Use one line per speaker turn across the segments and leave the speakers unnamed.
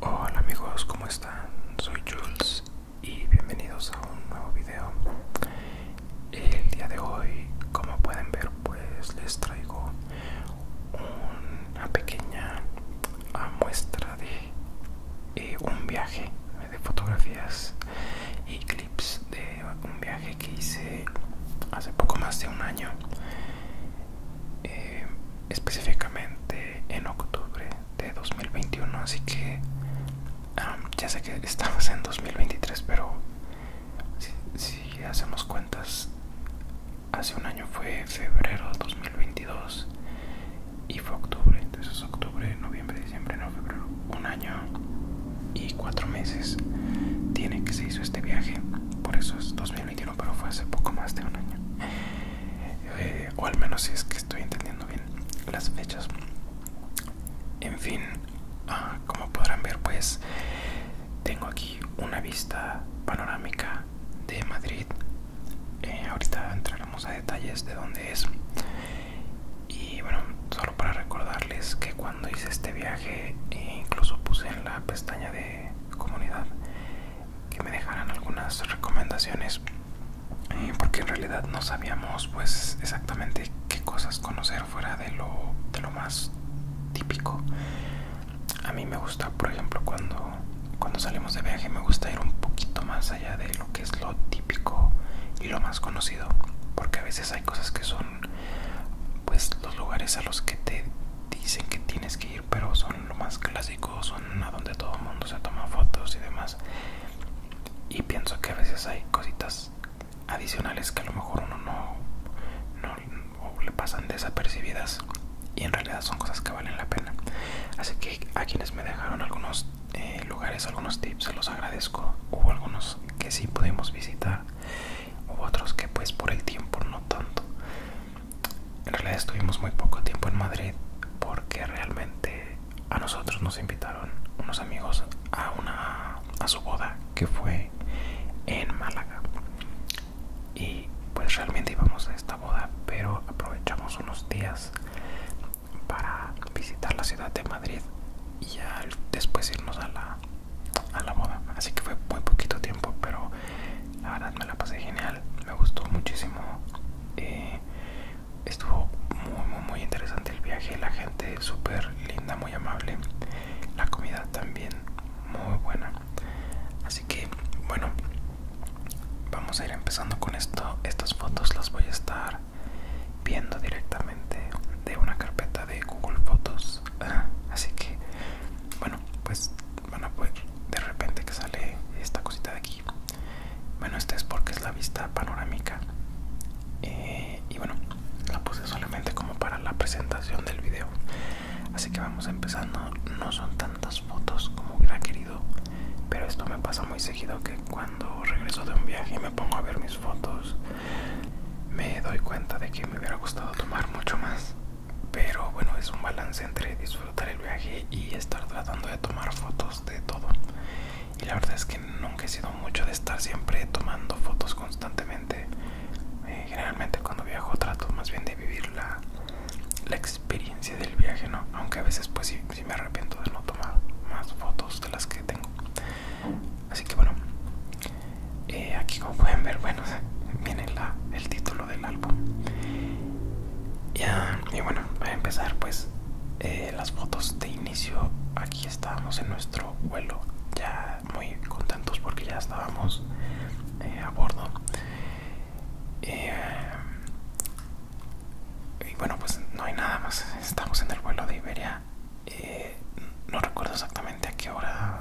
Hola amigos, ¿cómo están? Soy Jules y bienvenidos a un nuevo video. El día de hoy, como pueden ver, pues les traigo una pequeña ah, muestra de eh, un viaje de fotografías y clips de un viaje que hice hace poco más de un año eh, específicamente en octubre de 2021 así que ya sé que estamos en 2023 pero si hacemos cuentas hace un año fue febrero de 2022 y fue octubre, entonces octubre, noviembre, diciembre, no, febrero, un año y cuatro meses tiene que se hizo este viaje, por eso es 2021, pero fue hace poco más de un año, eh, o al menos si es que estoy entendiendo bien las fechas. En fin, ah, como podrán ver, pues tengo aquí una vista panorámica de Madrid eh, ahorita entraremos a detalles de dónde es y bueno solo para recordarles que cuando hice este viaje eh, incluso puse en la pestaña de comunidad que me dejaran algunas recomendaciones eh, porque en realidad no sabíamos pues exactamente qué cosas conocer fuera de lo más típico a mí me gusta, por ejemplo, cuando, cuando salimos de viaje, me gusta ir un poquito más allá de lo que es lo típico y lo más conocido, porque a veces hay cosas que son, pues, los lugares a los que te dicen que tienes que ir, pero son lo más clásico, son a donde todo el mundo se toma fotos y demás. Y pienso que a veces hay cositas adicionales que a lo mejor uno no, no le pasan desapercibidas y en realidad son cosas que valen la pena así que a quienes me dejaron algunos eh, lugares algunos tips se los agradezco hubo algunos que sí pudimos visitar hubo otros que pues por el tiempo no tanto en realidad estuvimos muy poco tiempo en Madrid porque realmente a nosotros nos invitaron unos amigos a una a su boda que fue en Málaga y pues realmente íbamos a esta boda pero aprovechamos unos días para visitar la ciudad de Madrid y después irnos a la, a la boda así que fue muy poquito tiempo pero la verdad me la pasé genial me gustó muchísimo eh, estuvo muy muy muy interesante el viaje la gente súper linda muy amable la comida también muy buena así que bueno vamos a ir empezando con esto estas fotos las voy a estar viendo directamente de una carpeta de google fotos así que bueno pues van a de repente que sale esta cosita de aquí bueno este es porque es la vista panorámica eh, y bueno la puse solamente como para la presentación del video así que vamos empezando no son tantas fotos como hubiera querido pero esto me pasa muy seguido que cuando regreso de un viaje y me pongo a ver mis fotos, me doy cuenta de que me hubiera gustado tomar mucho más. Pero bueno, es un balance entre disfrutar el viaje y estar tratando de tomar fotos de todo. Y la verdad es que nunca he sido mucho de estar siempre tomando fotos constantemente. Eh, generalmente cuando viajo trato más bien de vivirla la experiencia del viaje, ¿no? Aunque a veces pues sí, me arrepiento de no tomar más fotos de las que tengo. Así que bueno, eh, aquí como pueden ver, bueno, viene el título del álbum. y bueno, a empezar pues eh, las fotos de inicio, aquí estábamos en nuestro vuelo, ya muy contentos porque ya estábamos eh, a bordo eh, y bueno pues no hay nada más estamos en el vuelo de Iberia eh, no recuerdo exactamente a qué hora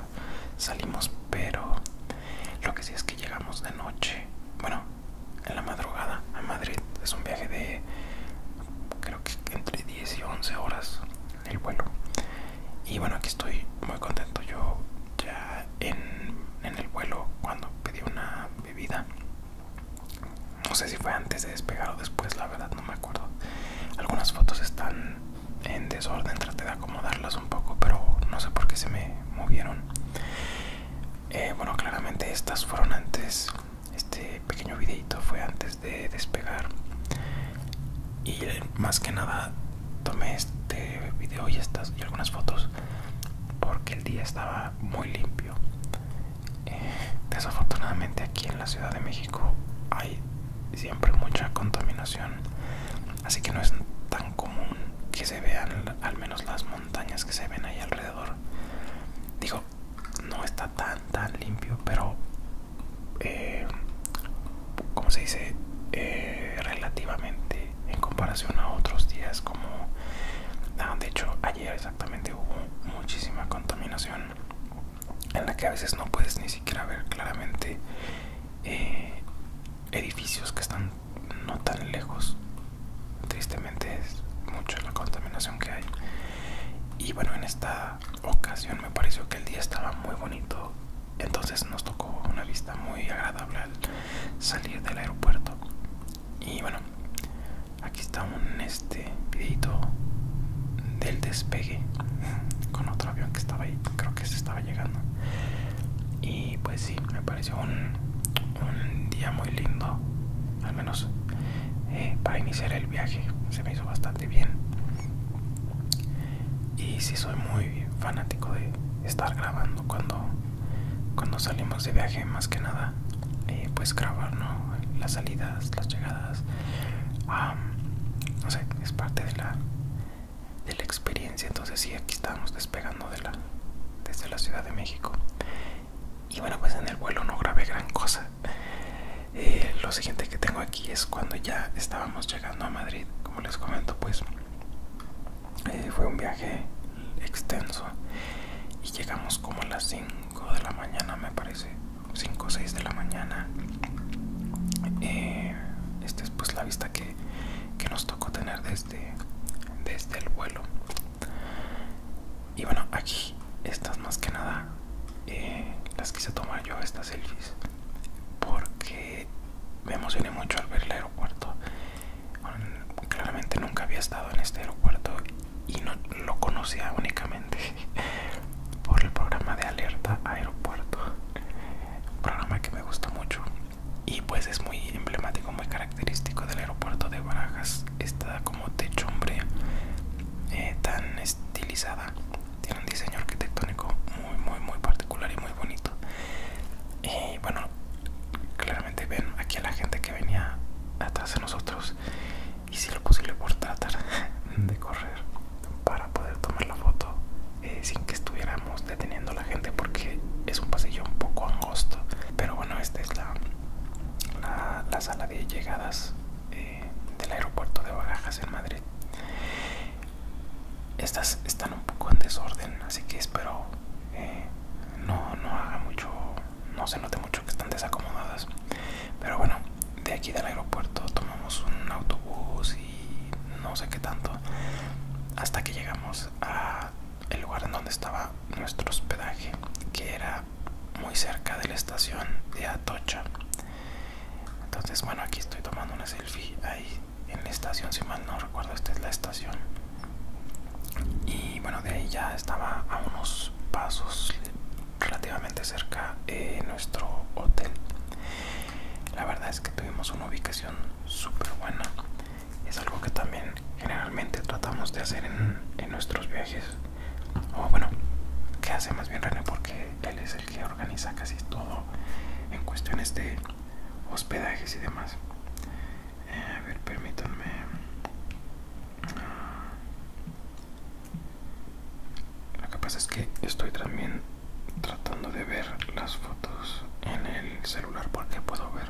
salimos pero lo que sí es que llegamos de noche bueno en la madrugada a Madrid es un viaje de creo que entre 10 y 11 horas el vuelo y bueno aquí estoy muy contento yo ya en, el vuelo cuando pedí una bebida no sé si fue antes de despegar o después la verdad no me acuerdo algunas fotos están en desorden traté de acomodarlas un poco pero no sé por qué se me movieron eh, bueno claramente estas fueron antes este pequeño videito fue antes de despegar y más que nada tomé este video y estas y algunas fotos porque el día estaba muy limpio. Eh, desafortunadamente aquí en la Ciudad de México hay siempre mucha contaminación, así que no es tan común que se vean al menos las montañas que se ven ahí alrededor. Digo, no está tan tan limpio, pero eh, como se dice eh, relativamente en comparación a otros días como ah, de hecho ayer exactamente hubo muchísima contaminación en la que a veces no puedes ni siquiera ver claramente eh, edificios que están no tan lejos tristemente es mucha la contaminación que hay y bueno en esta ocasión me pareció que el día estaba muy bonito entonces nos tocó una vista muy agradable al, salir del aeropuerto y bueno aquí está un este videito del despegue con otro avión que estaba ahí creo que se estaba llegando y pues sí me pareció un, un día muy lindo al menos eh, para iniciar el viaje se me hizo bastante bien y sí soy muy fanático de estar grabando cuando, cuando salimos de viaje más que nada eh, pues grabar las salidas las llegadas no sé es parte de la de la experiencia entonces sí aquí estábamos despegando de la desde la ciudad de México y bueno pues en el vuelo no grabé gran cosa eh, lo siguiente que tengo aquí es cuando ya estábamos llegando a Madrid como les comento pues eh, fue un viaje extenso y llegamos como a las 5 de la mañana me parece 5 o 6 de la mañana eh, esta es pues la vista que, nos tocó tener desde, este, desde este el vuelo y bueno aquí estas más que nada eh, las quise tomar yo estas selfies porque me emocioné mucho al ver el aeropuerto claramente nunca había estado en este aeropuerto y no lo conocía únicamente por el programa de alerta aeropuerto un programa que me gusta mucho y pues es muy emblemático muy característico del aeropuerto de Barajas está como techumbre eh, tan estilizada tiene un diseño arquitectónico muy muy muy particular y muy bonito y eh, bueno Claramente ven aquí a la gente que venía atrás de nosotros y si lo posible por tratar de correr para poder tomar la foto eh, sin que estuviéramos deteniendo a la gente porque es un pasillo un poco angosto. Pero bueno, esta es la, la, sala de llegadas eh, del aeropuerto de Barajas en Madrid. Estas están un poco en desorden, así que espero eh, no, no haga mucho, no se note mucho que están desacomodadas. Pero bueno, de aquí del aeropuerto tomamos un autobús y no sé qué tanto, hasta que llegamos al lugar en donde estaba nuestro hospedaje, que era muy cerca de la estación de Atocha. Entonces, bueno, aquí estoy tomando una selfie ahí en la estación, si mal no recuerdo, esta es la estación. Y bueno, de ahí ya estaba a unos pasos relativamente cerca de eh, nuestro hotel. La verdad es que tuvimos una ubicación súper buena. Es algo que también generalmente tratamos de hacer en, en nuestros viajes. O bueno, que hace más bien René porque él es el que organiza casi todo en cuestiones de hospedajes y demás. Eh, a ver, permítanme. Lo que pasa es que estoy también tratando de ver las fotos en el celular porque puedo ver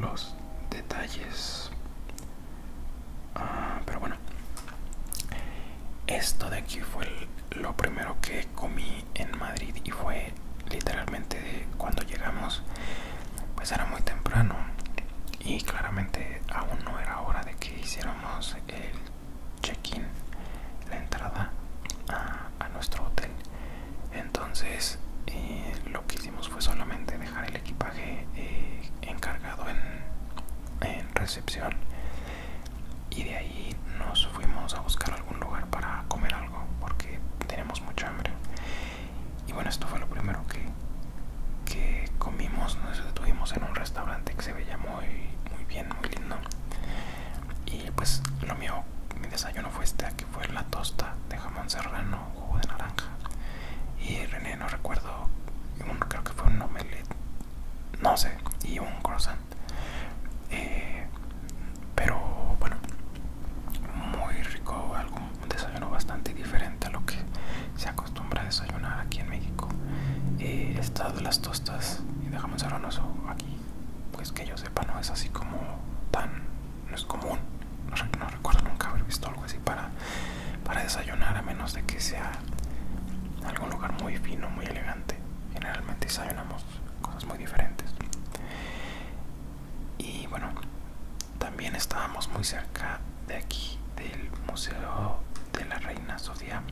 los detalles. Ah, pero bueno, esto de aquí fue lo primero que comí en Madrid y fue literalmente cuando llegamos pues era muy temprano y claramente aún no era hora de que hiciéramos el check-in la entrada a, nuestro hotel entonces eh, lo que hicimos fue solamente dejar el equipaje eh, encargado en, recepción y de ahí nos fuimos a buscar algún lugar para comer porque tenemos mucha hambre y bueno esto fue lo primero que, que comimos nos detuvimos en un restaurante que se veía muy muy bien muy lindo y pues lo mío mi desayuno fue este que fue la tosta de jamón serrano jugo de naranja y René no recuerdo creo que fue un omelette no sé y un croissant eh, pero bueno muy rico algo un desayuno bastante diferente a lo que se acostumbra a desayunar aquí en México eh, estas las tostas y dejamos ser ronoso aquí pues que yo sepa no es así como tan no es común no, no recuerdo nunca haber visto algo así para para desayunar a menos de que sea algún lugar muy fino muy elegante generalmente desayunamos cosas muy diferentes y bueno también estábamos muy cerca de aquí del museo de la reina Sofía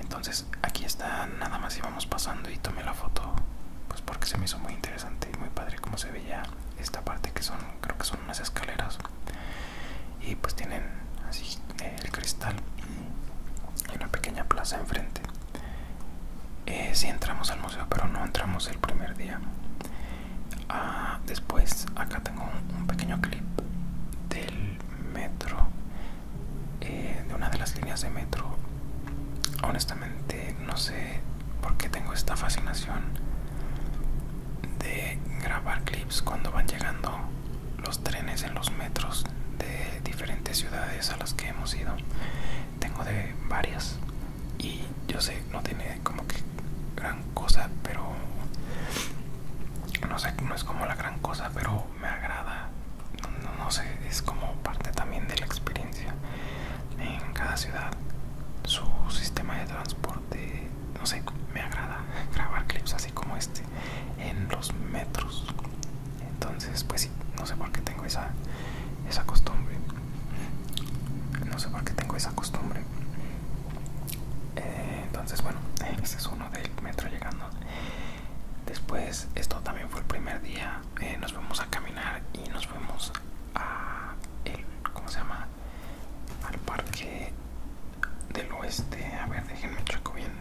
entonces aquí está nada más íbamos pasando y tomé la foto pues porque se me hizo muy interesante y muy padre como se veía esta parte que son creo que son unas escaleras y pues tienen así eh, el cristal y una pequeña plaza enfrente eh, si entramos al museo pero no entramos el primer día ah, después acá tengo un, pequeño clip del metro eh, de una de las líneas de metro honestamente no sé por qué tengo esta fascinación de grabar clips cuando van llegando los trenes en los metros de diferentes ciudades a las que hemos ido tengo de varias y yo sé no tiene como que gran cosa pero no sé no es como la gran cosa pero me agrada no, no sé es como parte también de la experiencia en cada ciudad su sistema de transporte no sé me agrada grabar clips así como este en los metros entonces pues sí no sé por qué tengo esa esa costumbre no sé por qué tengo esa costumbre eh, entonces bueno este es uno del metro llegando después esto también fue el primer día eh, nos fuimos a caminar y nos fuimos a el cómo se llama al parque del oeste a ver déjenme checo bien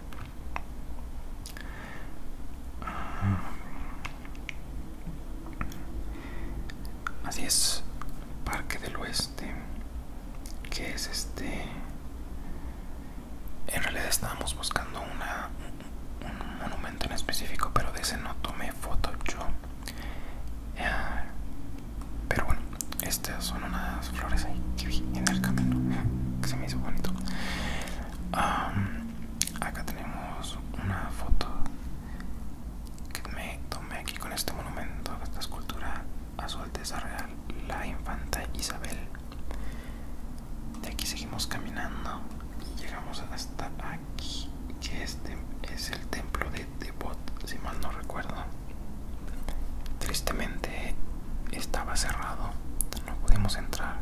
Así es, Parque del Oeste, que es este... En realidad estábamos buscando una, un monumento en específico, pero de ese no tomé foto yo. Eh, pero bueno, estas son unas flores ahí que vi en el camino, que se me hizo bonito acá tenemos una foto que me tomé aquí con este monumento, esta escultura a su Alteza Real, la Infanta Isabel. De aquí seguimos caminando y llegamos hasta aquí, que este es el templo de Debot, si mal no recuerdo. Tristemente estaba cerrado pues, no pudimos entrar.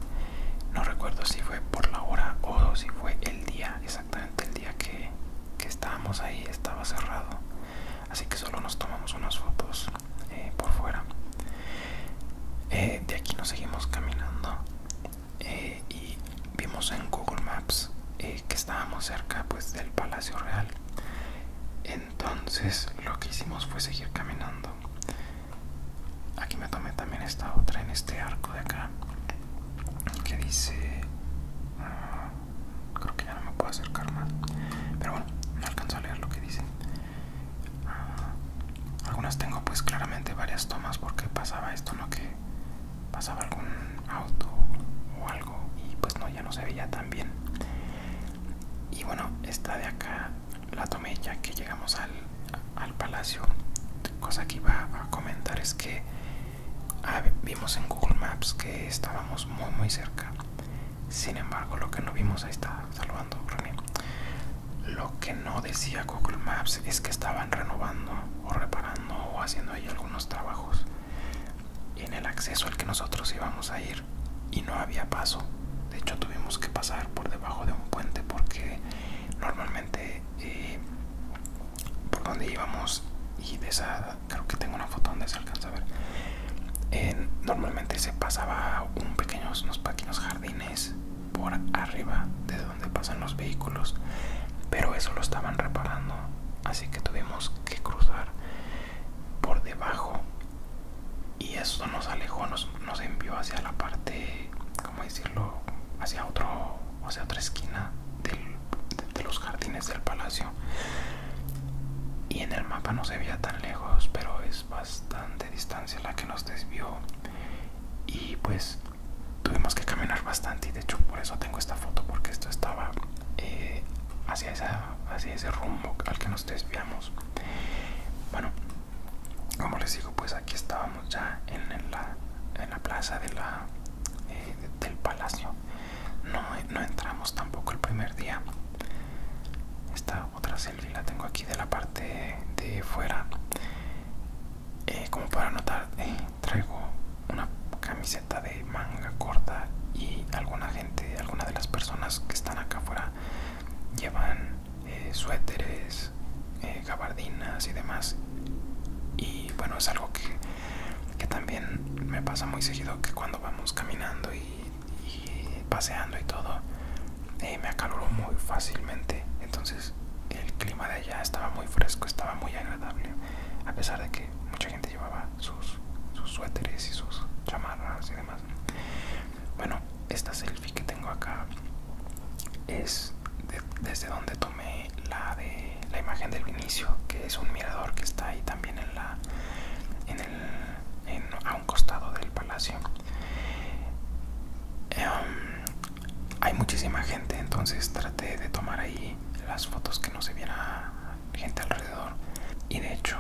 No recuerdo si fue por la hora o si fue el día, exactamente el día que, estábamos ahí, estaba cerrado. Así que solo nos tomamos unas fotos eh, por fuera. Eh, de aquí nos seguimos caminando eh, y vimos en Google Maps que estábamos cerca pues del Palacio Real. Entonces lo que hicimos fue seguir caminando Aquí me tomé también esta otra en este arco de acá que dice ah, creo que ya no me puedo acercar más pero bueno no alcanzo a leer lo que dice ah, algunas tengo pues claramente varias tomas porque pasaba esto no que pasaba algún auto o algo y pues no ya no se veía tan bien y bueno esta de acá la tomé ya que llegamos al, palacio. Cosa que iba a comentar es que ah, vimos en Google Maps que estábamos muy muy cerca. Sin embargo, lo que no vimos ahí está salvando Lo que no decía Google Maps es que estaban renovando o reparando o haciendo ahí algunos trabajos en el acceso al que nosotros íbamos a ir y no había paso. De hecho, tuvimos que pasar por debajo de un puente porque normalmente eh, por donde íbamos y de esa creo que tengo una foto donde se alcanza a ver normalmente se pasaba un pequeños unos pequeños jardines por arriba de donde pasan los vehículos pero eso lo estaban reparando así que tuvimos que cruzar por debajo y eso nos alejó nos, nos envió hacia la parte ¿cómo decirlo? Hacia, otro, hacia otra esquina de, los jardines del palacio. Y en el mapa no se veía tan lejos, pero es bastante distancia la que nos desvió. Y pues tuvimos que caminar bastante. Y de hecho, por eso tengo esta foto, porque esto estaba eh, hacia, esa, hacia ese rumbo al que nos desviamos. Bueno, como les digo, pues pues aquí estábamos ya en, la, plaza de la, eh, del palacio. No, entramos tampoco el primer día. Esta otra selfie la tengo aquí de la parte de fuera. Eh, como para notar, eh, traigo una camiseta de manga corta y alguna gente, alguna de las personas que están acá afuera llevan eh, suéteres, eh, gabardinas y demás. Y bueno, es algo que, que también me pasa muy seguido, que cuando vamos caminando y, paseando y todo, eh, me acaloro muy fácilmente. Entonces el clima de allá estaba muy fresco, estaba muy agradable, a pesar de que mucha gente llevaba sus, sus suéteres y sus chamarras y demás. Bueno, esta selfie que tengo acá es desde donde tomé la de la imagen del Vinicio, que es un mirador que está ahí también en la a un costado del palacio. Em, hay muchísima gente, entonces traté de tomar ahí las fotos que no se viera gente alrededor y de hecho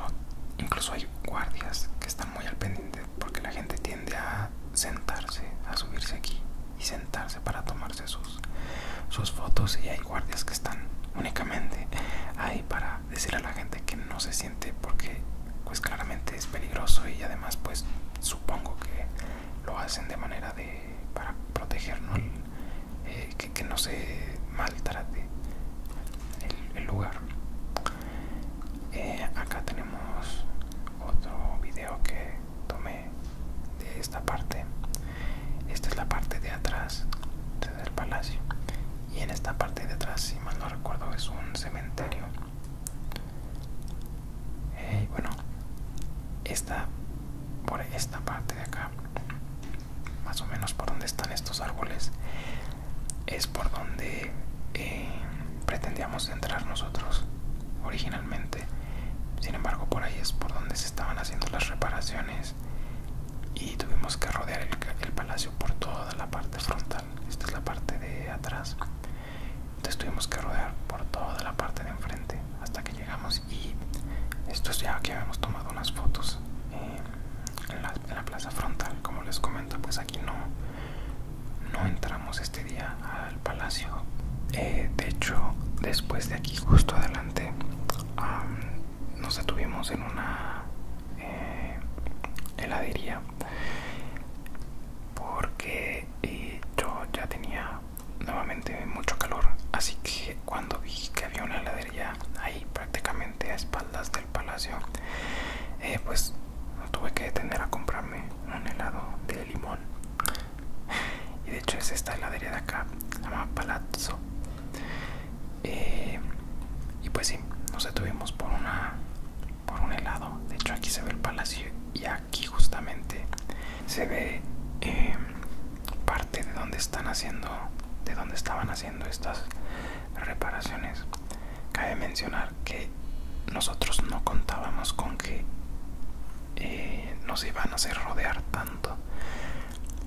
incluso hay guardias que están muy al pendiente porque la gente tiende a sentarse, a subirse aquí y sentarse para tomarse sus, sus fotos y hay guardias que están únicamente ahí para decir a la gente que no se siente porque pues claramente es peligroso y además pues supongo que lo hacen de manera de para protegernos eh, que, no se maltrate el lugar eh, acá tenemos otro video que tomé de esta parte esta es la parte de atrás del palacio y en esta parte de atrás si mal no recuerdo es un cementerio eh, y bueno está por esta parte de acá más o menos por donde están estos árboles es por donde eh, pretendíamos entrar nosotros originalmente sin embargo por ahí es por donde se estaban haciendo las reparaciones y tuvimos que rodear el, palacio por toda la parte frontal esta es la parte de atrás entonces tuvimos que rodear por toda la parte de enfrente hasta que llegamos y esto es ya que habíamos tomado unas fotos eh, en la plaza frontal como les comento pues aquí no no entramos este día al palacio eh, de hecho después de aquí justo adelante nos detuvimos en una eh, heladería porque eh, yo ya tenía nuevamente mucho calor así que cuando vi que había una heladería ahí prácticamente a espaldas del palacio Pues pues tuve que detener a comprarme un helado de limón y de hecho es esta heladería de acá se llama palazzo eh, y pues sí nos detuvimos por una por un helado de hecho aquí se ve el palacio y aquí justamente se ve eh, parte de donde están haciendo de donde estaban haciendo estas reparaciones Cabe mencionar que nosotros no contábamos con que eh, nos iban a hacer rodear tanto,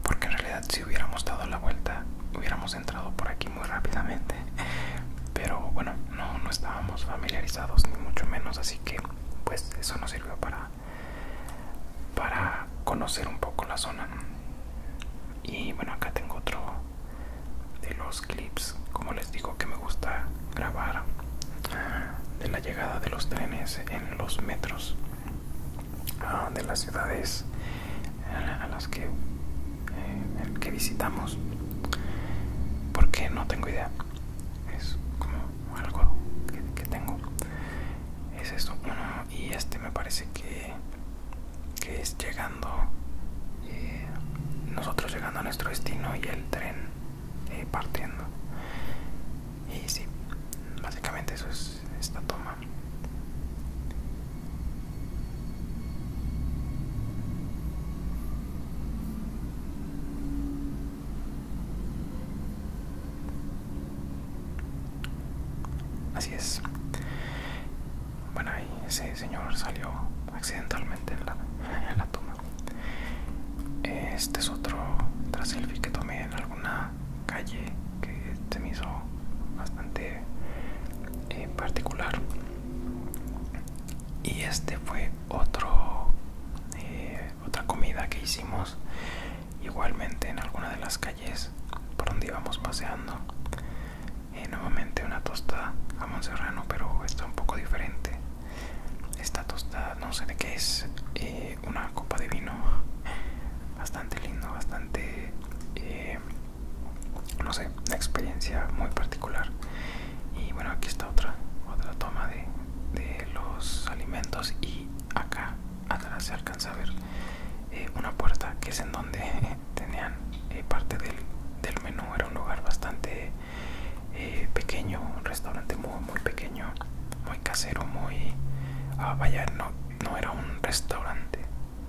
porque en realidad si hubiéramos dado la vuelta hubiéramos entrado por aquí muy rápidamente. Pero bueno, no, no estábamos familiarizados ni mucho menos, así que pues eso nos sirvió para para conocer un poco la zona. Y bueno, acá tengo otro de los clips como les digo que me gusta grabar de la llegada de los trenes en los metros ah, de las ciudades a las que, eh, que visitamos porque no tengo idea es como algo que, tengo es esto y este me parece que que es llegando eh, nosotros llegando a nuestro destino y el tren eh, partiendo. Y sí, básicamente eso es esta toma. Así es. Bueno, ahí ese señor salió accidentalmente en la, toma. Este es otro que tomé en alguna calle que se me hizo bastante eh, particular. Y este fue otro eh, otra comida que hicimos igualmente en alguna de las calles por donde íbamos paseando nuevamente una tosta a serrano pero está un poco diferente esta tosta, no sé de qué es eh, una copa de vino bastante lindo bastante eh, no sé una experiencia muy particular y bueno aquí está otra otra toma de, los alimentos y acá atrás se alcanza a ver eh, una puerta que es en donde tenían parte del menú era un lugar bastante eh, pequeño, restaurante muy, muy pequeño, muy casero, muy... a ah, vaya, no, era un restaurante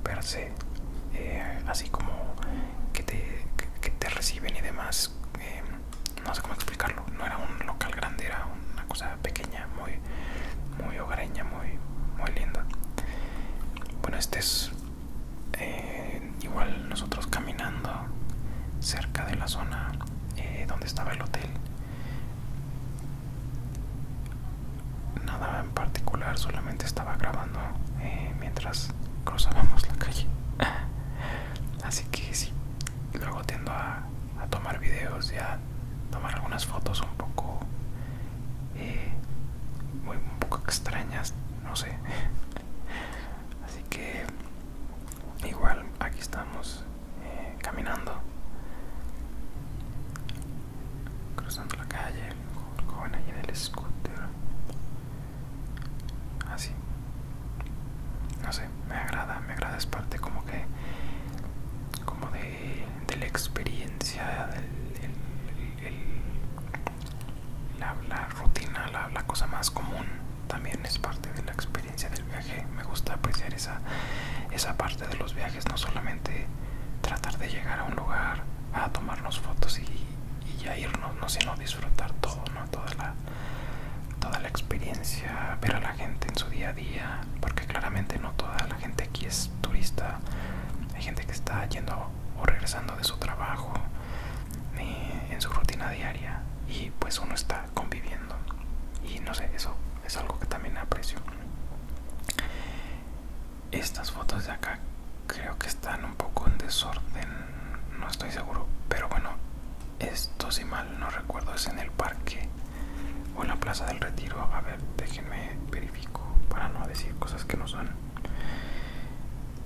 per se, eh, así como que te, reciben y demás, eh, no sé cómo explicarlo, no era un local grande, era una cosa pequeña, muy, muy hogareña, muy, muy linda. Bueno, este es eh, igual nosotros caminando cerca de la zona eh, donde estaba el hotel nada en particular solamente estaba grabando eh, mientras cruzábamos la calle así que sí luego tiendo a, tomar videos y a tomar algunas fotos un poco muy un poco extrañas no sé así que igual aquí estamos eh, caminando cruzando la calle con joven en el scooter así ah, no sé me agrada me agrada es parte como que como de, la experiencia del la, rutina, la, cosa más común también es parte de la experiencia del viaje. Me gusta apreciar esa, parte de los viajes, no solamente tratar de llegar a un lugar a tomarnos fotos y, ya irnos, no, sino disfrutar todo, toda, toda la experiencia, ver a la gente en su día a día, porque claramente no toda la gente aquí es turista, hay gente que está yendo o regresando de su trabajo, ni en su rutina diaria y pues uno está conviviendo y no sé eso es algo que también aprecio estas fotos de acá creo que están un poco en desorden no estoy seguro pero bueno esto si mal no recuerdo es en el parque o en la plaza del retiro a ver déjenme verifico para no decir cosas que no son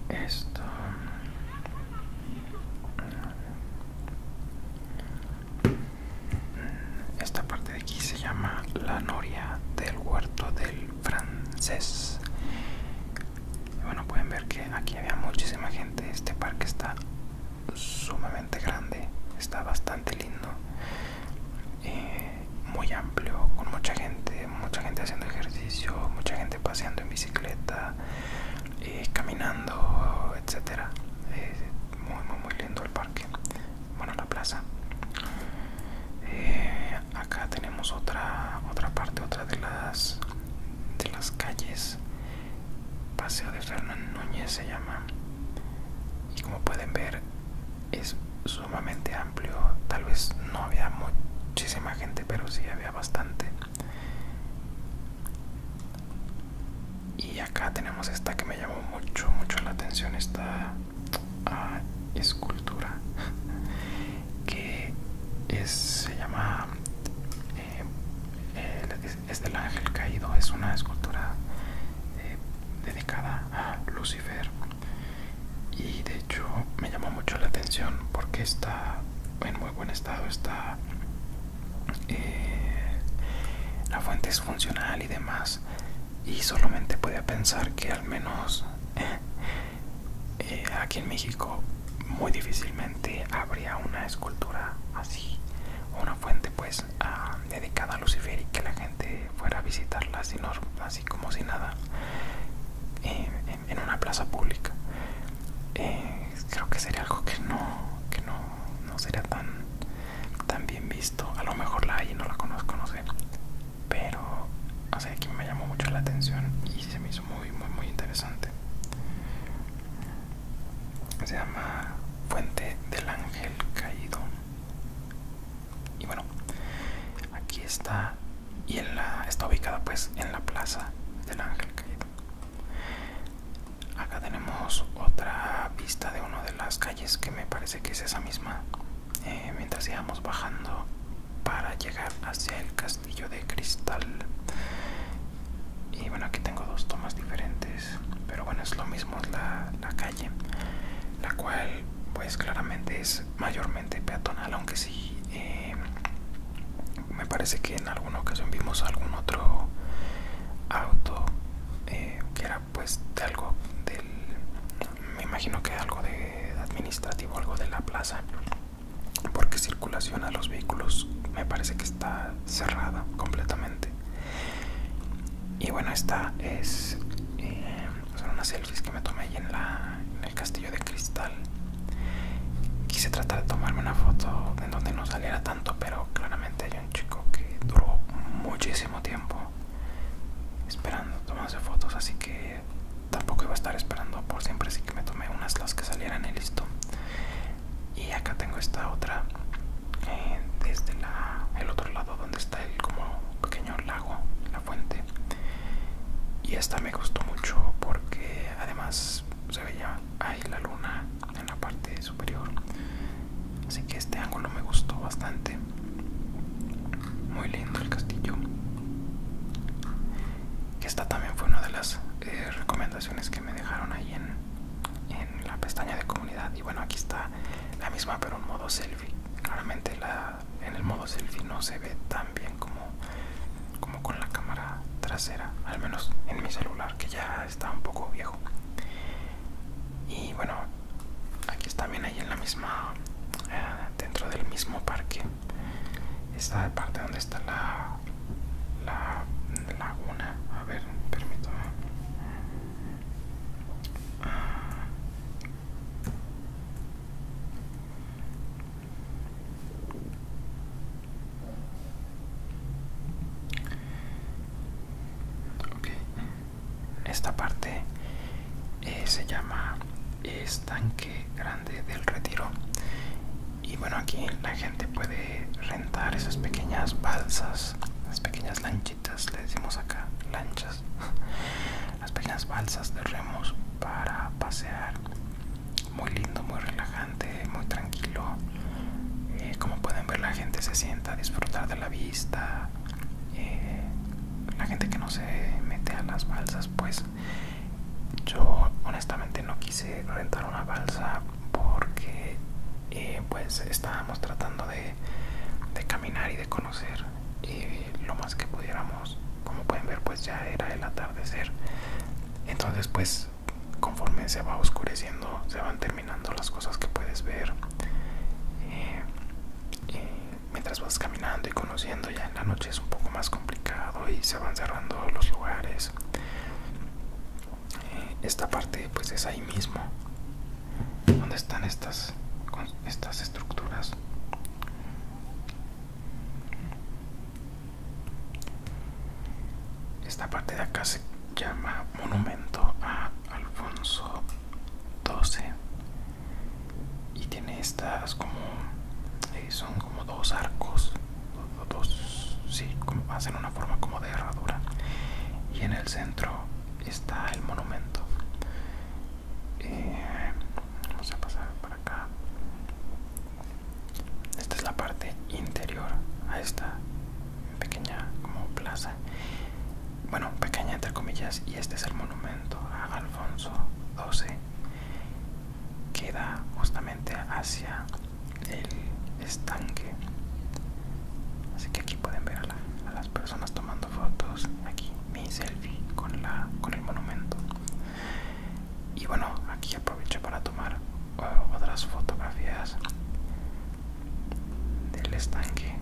esto esta parte de aquí se llama la noria del huerto del francés bueno pueden ver que aquí había muchísima gente este parque está sumamente grande está bastante lindo eh, muy amplio con mucha gente mucha gente haciendo ejercicio, mucha gente paseando en bicicleta, eh, caminando, etcétera. muy, muy, lindo el parque. Bueno, la plaza. Eh, acá tenemos otra, otra parte, otra de las, de las calles. Paseo de Fernán Núñez se llama. Y como pueden ver, es sumamente amplio. Tal vez no había muchísima gente, pero sí bastante y acá tenemos esta que me llamó mucho mucho la atención esta ah, escultura que se llama el, eh, eh, es, del ángel caído es una escultura eh, dedicada a Lucifer y de hecho me llamó mucho la atención porque está en muy buen estado está eh, la fuente es funcional y demás y solamente podía pensar que al menos eh, aquí en México muy difícilmente habría una escultura así una fuente pues ah, dedicada a Lucifer y que la gente fuera a visitarla así, así como si nada eh, en, una plaza pública eh, creo que sería algo que no que no, sería tan tan bien visto a lo mejor la hay y no la conozco no sé pero así sea, aquí me llamó mucho la atención y se me hizo muy muy muy interesante se llama Fuente del Ángel Caído y bueno aquí está y en la, está ubicada pues en la plaza del ángel acá tenemos otra vista de una de las calles que me parece que es esa misma eh, mientras íbamos bajando para llegar hacia el castillo de cristal y bueno aquí tengo dos tomas diferentes pero bueno es lo mismo la, la calle la cual pues claramente es mayormente peatonal aunque sí eh, me parece que en alguna ocasión vimos algún otro auto eh, que era pues de algo del me imagino que algo de administrativo algo de la plaza porque circulación a los vehículos me parece que está cerrada completamente y bueno esta es eh, son unas selfies que me tomé en la, el castillo de cristal. Quise tratar de tomarme una foto en donde no saliera tanto, pero claramente hay un chico que duró muchísimo tiempo esperando tomarse fotos, así que tampoco iba a estar esperando por siempre, así que me tomé unas las que salieran y listo. Y acá tengo esta otra eh, desde el otro lado donde está el como pequeño lago, la fuente y esta me gustó mucho porque además se veía ahí la luna en la parte superior así que este ángulo me gustó bastante muy lindo el castillo esta también fue una de las eh, recomendaciones que me dejaron ahí en, en la pestaña de comunidad y bueno aquí está la misma pero en modo selfie claramente la en el modo selfie no se ve tan bien como, como con la cámara trasera, al menos en mi celular que ya está un poco viejo. Y bueno, aquí está bien, ahí en la misma, eh, dentro del mismo parque, esta parte donde está la, la laguna. A ver, permítame. Ah. Esta parte eh, se llama estanque grande del retiro y bueno aquí la gente puede rentar esas pequeñas balsas, las pequeñas lanchitas, le decimos acá lanchas, las pequeñas balsas de remos para pasear muy lindo, muy relajante, muy tranquilo. Eh, como pueden ver, la gente se sienta a disfrutar de la vista. Eh, la gente que no se mete a las balsas, pues yo honestamente no quise rentar una balsa porque eh, pues estábamos tratando de, caminar y de conocer lo más que pudiéramos como pueden ver pues ya era el atardecer entonces pues conforme se va oscureciendo se van terminando las cosas que puedes ver eh, eh, mientras vas caminando y conociendo ya en la noche es un poco más complicado y se van cerrando los lugares eh, esta parte pues es ahí mismo donde están estas estas estructuras esta parte de acá se llama Monumento a Alfonso XII y tiene estas como eh, son como dos arcos dos, sí, como hacen una forma como de herradura y en el centro está el monumento eh, vamos a pasar para acá esta es la parte interior a esta pequeña como plaza. Bueno, pequeña entre comillas. Y este es el monumento a Alfonso XII. Queda justamente hacia el estanque. Así que aquí pueden ver a, a las personas tomando fotos. Aquí mi selfie con, la, con el monumento y bueno aquí aprovecho para tomar uh, otras fotografías del estanque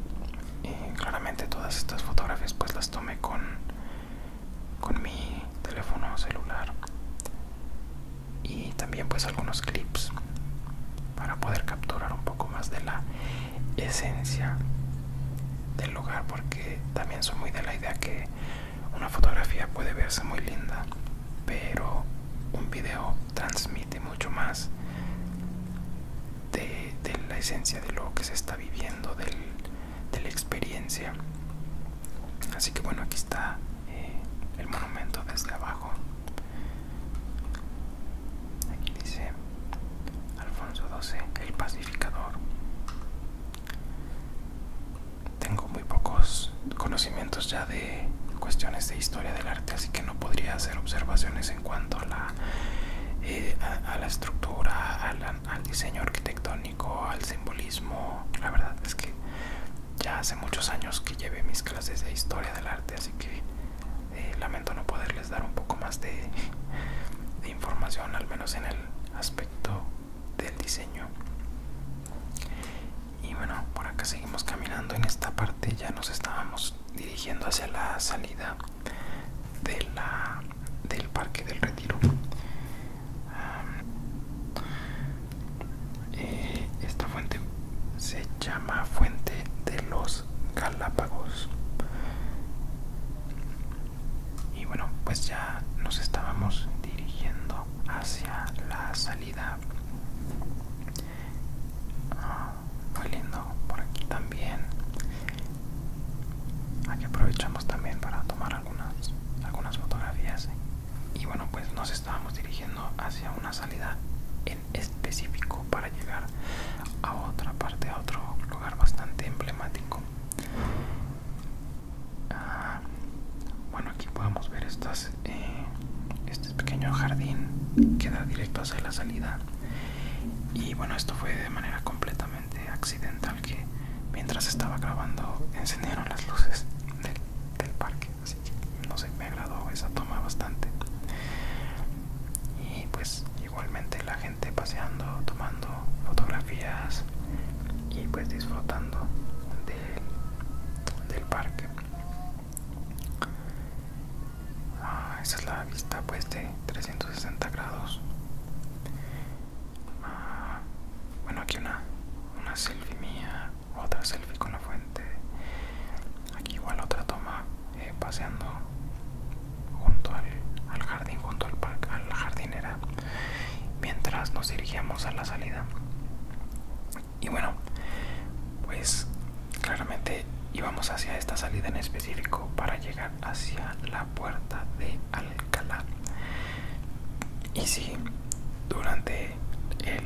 y claramente todas estas fotografías pues las tomé con con mi teléfono celular y también pues algunos clips para poder capturar un poco más de la esencia del lugar porque también soy muy de la idea que una fotografía puede verse muy linda, pero un video transmite mucho más de, la esencia de lo que se está viviendo, de la experiencia. Así que bueno, aquí está eh, el monumento desde abajo. Aquí dice Alfonso 12 el pacificador tengo muy pocos conocimientos ya de cuestiones de historia del arte, así que no podría hacer observaciones en cuanto a la, eh, a, la estructura, al diseño arquitectónico, al simbolismo. La verdad es que ya hace muchos años que llevé mis clases de historia del arte, así que eh, lamento no poderles dar un poco más de información, al menos en el aspecto del diseño y bueno por acá seguimos caminando en esta parte ya nos estábamos dirigiendo hacia la salida de la del parque del retiro ah, eh, esta fuente se llama fuente de los galápagos y bueno pues ya nos estábamos dirigiendo hacia la salida muy ah, lindo por aquí también aquí aprovechamos también para tomar algunas algunas fotografías y bueno pues nos estábamos dirigiendo hacia una salida en específico para llegar a otra parte a otro lugar bastante emblemático Ah, bueno aquí podemos ver eh, este pequeño jardín que da directo hacia la salida y bueno esto fue de manera completamente accidental que mientras estaba grabando encendieron las luces del, del parque así que no sé me agradó esa toma bastante y pues igualmente la gente paseando tomando fotografías y pues disfrutando del, parque ah, esa es la vista pues de 360 grados ah, bueno aquí una una selfie mía otra selfie con la fuente aquí igual otra toma eh, paseando junto al, jardín junto al, parque, a la jardinera mientras nos dirigíamos a la salida y bueno pues claramente íbamos hacia esta salida en específico para llegar hacia la puerta de Alcalá y sí durante el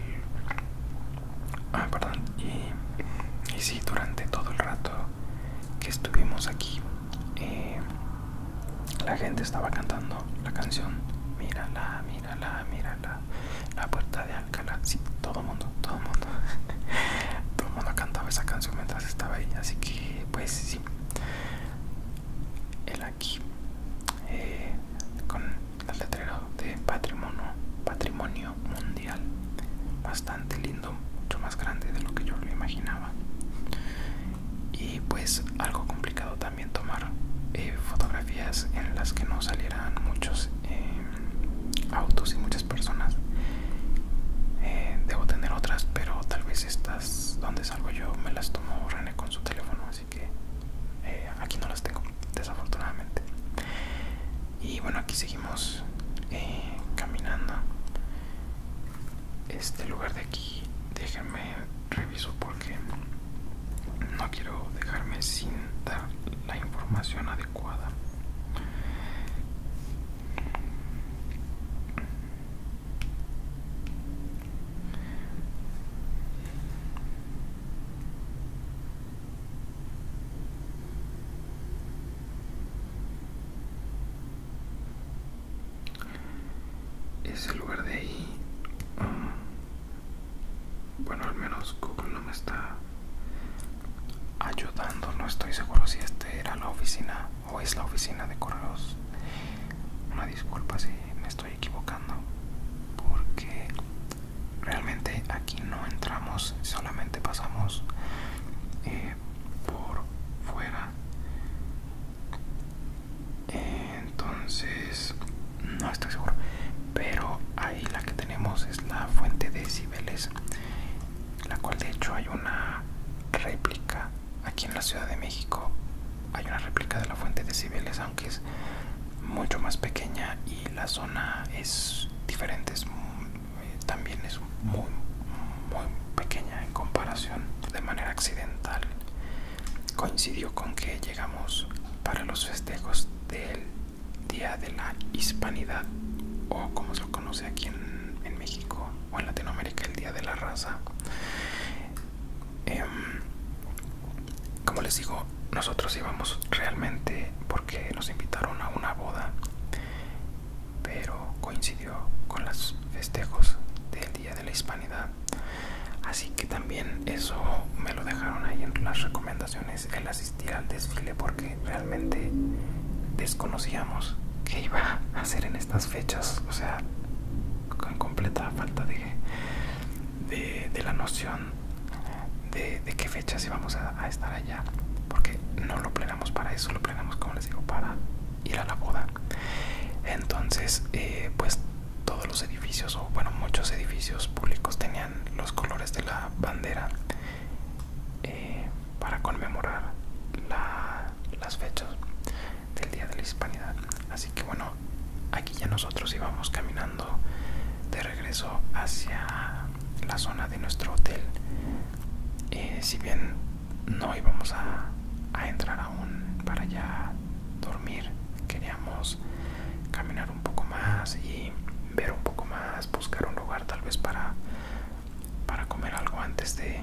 ah, perdón y, y sí durante todo el rato que estuvimos aquí eh, la gente estaba cantando la canción Mírala, mírala, mírala La puerta de Alcalá Sí, todo el mundo, todo el mundo Todo el mundo cantaba esa canción mientras estaba ahí Así que, pues sí El aquí eh, Con el letrero de patrimonio Patrimonio mundial Bastante lindo Mucho más grande de lo que yo lo imaginaba y pues algo complicado también tomar eh, fotografías en las que no salieran muchos eh, autos y muchas personas eh, debo tener otras pero tal vez estas donde salgo yo me las tomó rene con su teléfono así que aquí no las tengo desafortunadamente y bueno aquí seguimos caminando este lugar de aquí déjenme reviso porque no quiero dejarme sin dar la información adecuada es el lugar de ahí mm, bueno al menos Google no me está ayudando no estoy seguro si este era la oficina o es la oficina de correos una disculpa si me estoy equivocando porque realmente aquí no entramos solamente pasamos eh, por fuera entonces no estoy seguro pero ahí la que tenemos es la fuente de Cibeles la cual de hecho hay una réplica aquí en la Ciudad de México hay una réplica de la fuente de Cibeles aunque es mucho más pequeña y la zona es diferente eh, también es muy muy pequeña en comparación de manera accidental coincidió con que llegamos para los festejos del Día de la Hispanidad o como se conoce aquí en, México o en Latinoamérica el Día de la Raza. Em, como les digo, nosotros íbamos realmente porque nos invitaron a una boda, pero coincidió con los festejos del Día de la Hispanidad así que también eso me lo dejaron ahí en las recomendaciones el asistir al desfile porque realmente desconocíamos qué iba a hacer en estas fechas o sea con completa falta de, de, la noción de, qué fechas íbamos a, estar allá porque no lo planeamos para eso lo planeamos como les digo para ir a la boda entonces eh, pues todos los edificios o bueno muchos edificios públicos tenían los colores de la bandera eh, para conmemorar las fechas del día de la hispanidad así que bueno aquí ya nosotros íbamos caminando de regreso hacia la zona de nuestro hotel eh, si bien no íbamos a, entrar aún para ya dormir queríamos caminar un poco más y ver un poco más buscar un lugar tal vez para para comer algo antes de,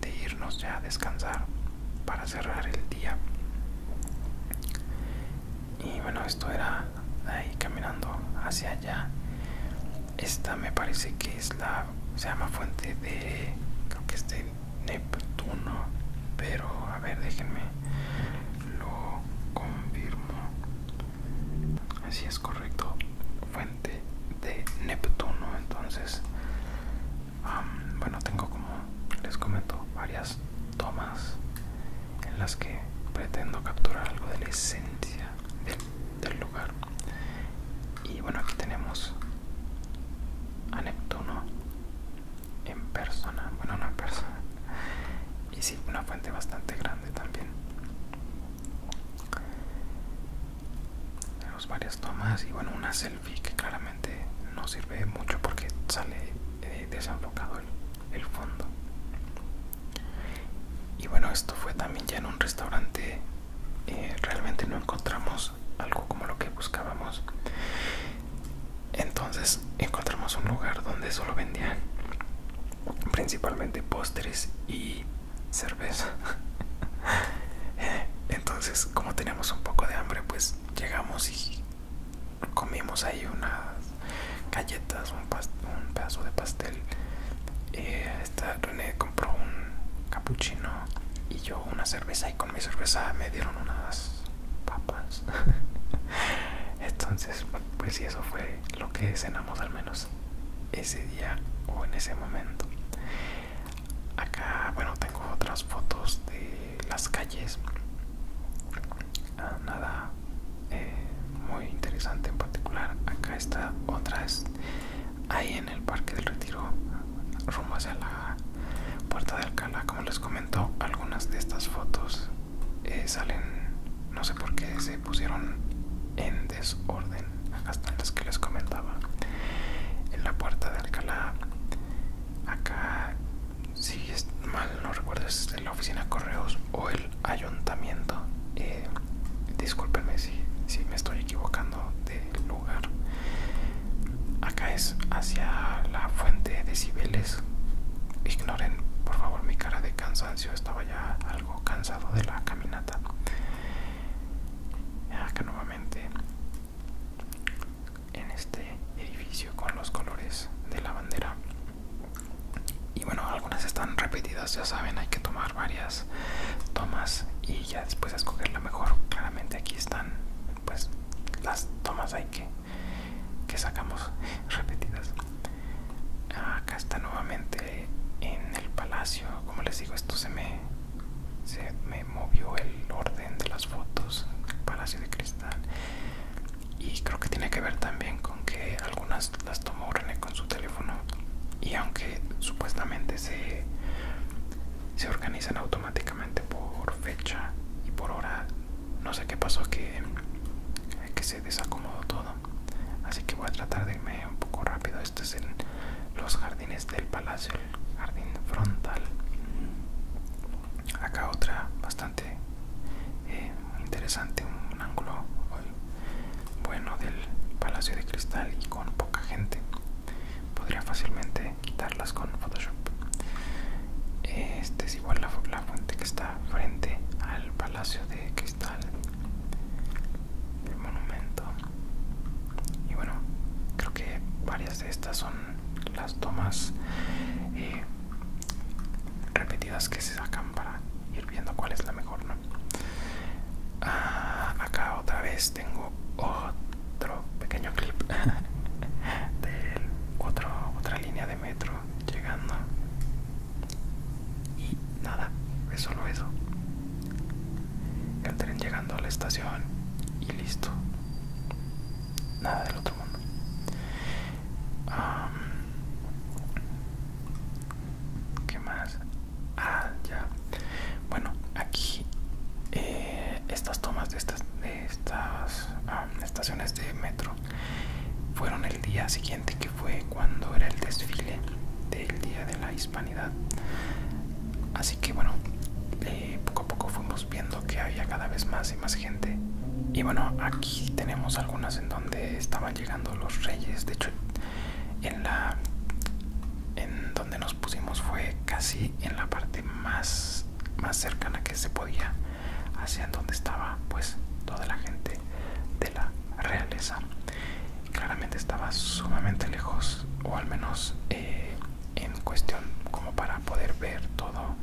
de irnos ya a descansar para cerrar el día y bueno esto era ahí caminando hacia allá esta me parece que es la se llama fuente de creo que es de Neptuno pero a ver déjenme lo confirmo así es correcto fuente de Neptuno entonces bueno tengo como les comento varias tomas en las que pretendo capturar algo de la esencia del lugar y bueno aquí tenemos a Neptuno en persona, bueno una persona y sí, una fuente bastante grande también tenemos varias tomas y bueno una selfie que claramente no sirve mucho porque sale eh, desenfocado el, fondo y bueno esto fue también ya en un restaurante eh, realmente no encontramos algo como lo que buscábamos entonces encontramos un lugar donde solo vendían principalmente postres y cerveza entonces como teníamos un poco de hambre pues llegamos y comimos ahí unas galletas un, pedazo de pastel eh, esta compró un capuchino y yo una cerveza y con mi cerveza me dieron unas papas entonces pues y eso fue lo que cenamos al menos ese día o en ese momento acá bueno tengo otras fotos de las calles ah, nada eh, muy interesante en particular acá está otras ahí en el parque del retiro rumbo hacia la puerta de Alcalá como les comentó algunas de estas fotos eh, salen no sé por qué se pusieron en desorden hasta las que les comentaba en la puerta de Alcalá acá si es mal no recuerdo es la oficina de correos o el ayuntamiento eh, discúlpenme si me estoy equivocando de lugar acá es hacia la fuente de Cibeles ignoren por favor mi cara de cansancio estaba ya algo cansado de la caminata acá nuevamente en este edificio con los colores de la bandera y bueno algunas están repetidas ya saben hay que tomar varias tomas y y ya después escoger la mejor claramente aquí están pues las tomas ahí que, que sacamos repetidas acá está nuevamente en el palacio como les digo esto se me se me movió el orden de las fotos el palacio de cristal y creo que tiene que ver también con que algunas las tomó René con su teléfono y aunque supuestamente se se organizan automáticamente por fecha y por hora no sé qué pasó que, que se desacomodó todo así que voy a tratar de irme un poco rápido este es en los jardines del palacio el jardín frontal acá otra bastante eh, interesante un ángulo bueno del palacio de cristal y con poca gente podría fácilmente quitarlas con Photoshop. Este es igual la, fuente que está frente al Palacio de Cristal, el monumento. Y bueno, creo que varias de estas son las tomas eh, repetidas que se sacan para ir viendo cuál es la mejor, ¿no? Ah, acá otra vez tengo otro pequeño clip de otra línea de metro llegando. Y nada, es solo eso. El tren llegando a la estación y listo. Nada del otro mundo. ¿Qué más? Ah, ya. Bueno, aquí eh, estas tomas de estas, estas estaciones de metro fueron el día siguiente que fue cuando era el desfile del Día de la Hispanidad. Así que bueno, eh, poco a poco fuimos viendo que había cada vez más y más gente. Y bueno, aquí tenemos algunas en donde estaban llegando los reyes. De hecho, en la en donde nos pusimos fue casi en la parte más, más cercana que se podía hacia donde estaba pues toda la gente de la realeza claramente estaba sumamente lejos o al menos eh, en cuestión como para poder ver todo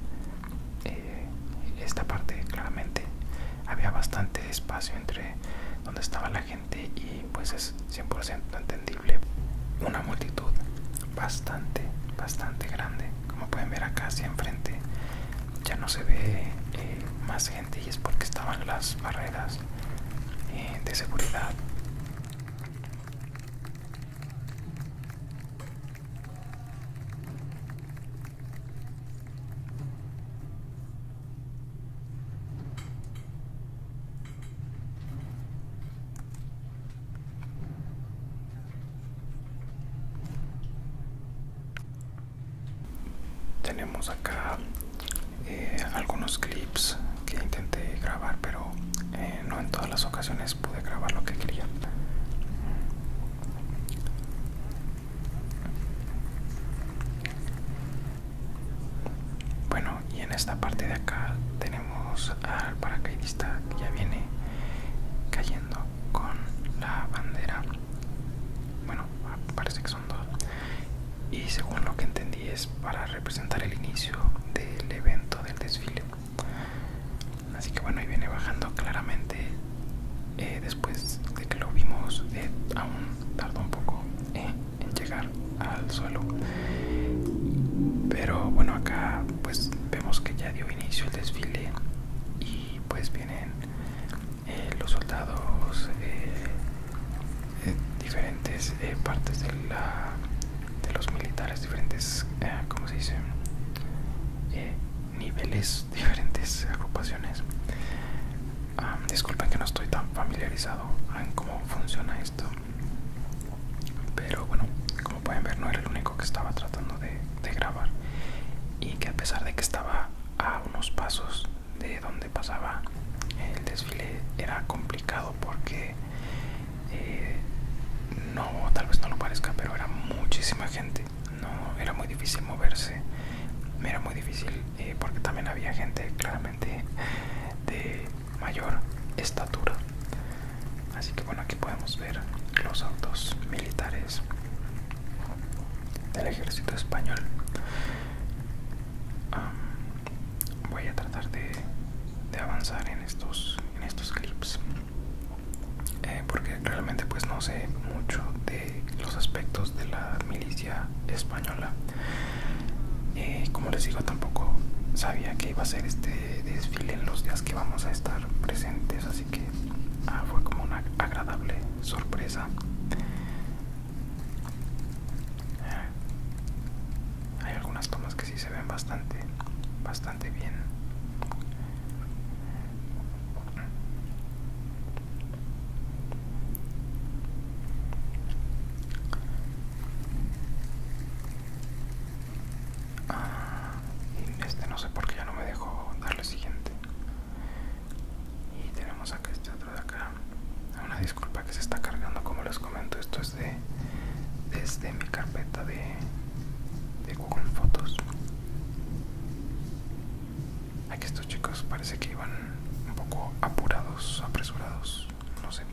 eh, esta parte claramente había bastante espacio entre donde estaba la gente y pues es 100% entendido una multitud bastante bastante grande como pueden ver acá hacia enfrente ya no se ve eh, más gente y es porque estaban las barreras eh, de seguridad tenemos acá eh, algunos clips que intenté grabar, pero eh, no en todas las ocasiones pude grabar lo que quería. Bueno, y en esta parte de acá tenemos al paracaidista que ya viene cayendo con la bandera bueno parece que son dos y según lo que entendí es para representar el inicio del evento del desfile así que bueno y viene bajando claramente eh, después de que lo vimos eh, aún tardó un poco eh, en llegar al suelo pero bueno acá pues vemos que ya dio inicio el desfile y pues vienen eh, los soldados de eh, eh, diferentes partes de la de los militares diferentes se dice niveles diferentes agrupaciones ah, disculpen que no estoy tan familiarizado en cómo funciona esto pero bueno, como pueden ver no era el único que estaba tratando de, grabar y que a pesar de que estaba a unos pasos de donde pasaba el desfile era complicado porque eh, no tal vez no lo parezca pero era muchísima gente no era muy difícil moverse era muy difícil eh, porque también había gente claramente de mayor estatura así que bueno aquí podemos ver los autos militares del ejército español voy a tratar de, avanzar en estos en estos clips eh, porque realmente pues no sé mucho de los aspectos de la milicia española y eh, como les digo tampoco sabía que iba a ser este desfile en los días que vamos a estar presentes así que ah, fue como una agradable sorpresa hay algunas tomas que sí se ven bastante bastante bien Ah, este no sé por qué ya no me dejó darle siguiente. Y tenemos acá este otro de acá. Una disculpa que se está cargando, como les comento, esto es de desde mi carpeta de, de Google Fotos. Aquí estos chicos parece que iban un poco apurados, apresurados no sé.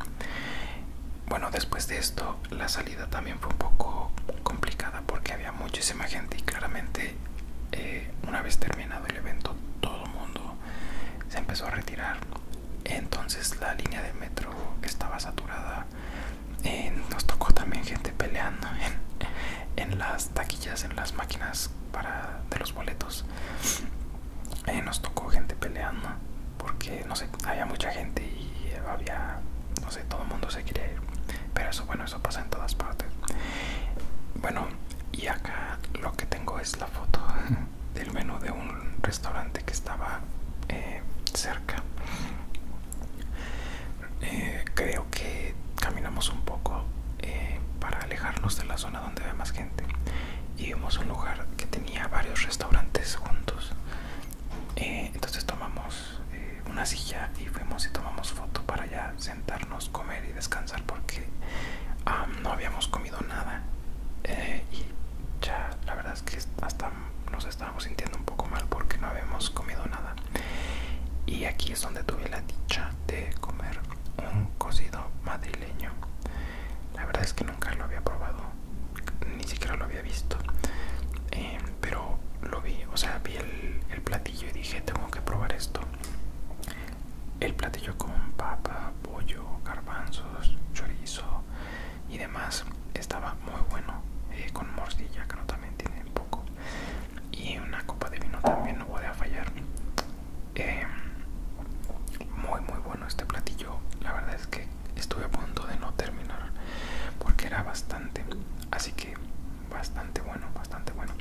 Bueno, después de esto la salida también fue un poco complicada porque había muchísima gente y claramente eh, una vez terminado el evento todo el mundo se empezó a retirar. Entonces la línea de metro estaba saturada. Eh, nos tocó también gente peleando en, las taquillas, en las máquinas para, de los boletos. Eh, nos tocó gente peleando porque no sé había mucha gente y había no sé todo el mundo se quería ir pero eso bueno eso pasa en todas partes bueno y acá lo que tengo es la foto del menú de un restaurante que estaba eh, cerca eh, creo que caminamos un poco eh, para alejarnos de la zona donde había más gente y vimos un lugar que tenía varios restaurantes juntos eh, entonces tomamos eh, una silla y fuimos y tomamos foto para ya sentarnos, comer y descansar porque no habíamos comido nada eh, y ya la verdad es que hasta nos estábamos sintiendo un poco mal porque no habíamos comido nada y aquí es donde tuve la dicha de comer un cocido madrileño la verdad es que nunca lo había probado ni siquiera lo había visto eh, pero lo vi o sea vi el, platillo y dije tengo que probar esto el platillo con papa pollo garbanzos chorizo y demás estaba muy bueno eh, con morcilla que no también tiene poco y una copa de vino también no voy a fallar eh, muy muy bueno este platillo la verdad es que estuve a punto de no terminar porque era bastante así que bastante bueno bastante bueno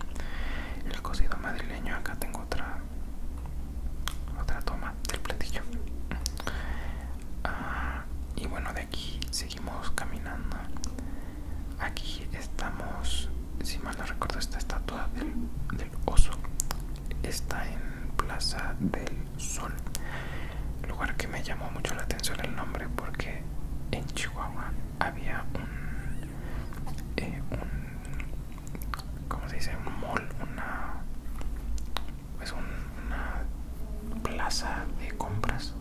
el cocido madrileño acá tengo otra otra toma del platillo ah, y bueno de aquí seguimos caminando aquí estamos si mal no recuerdo esta estatua del oso está en plaza del Sol, lugar que me llamó mucho la atención el nombre porque en Chihuahua había un, eh, ¿cómo se dice? Un mall, una, pues una plaza de compras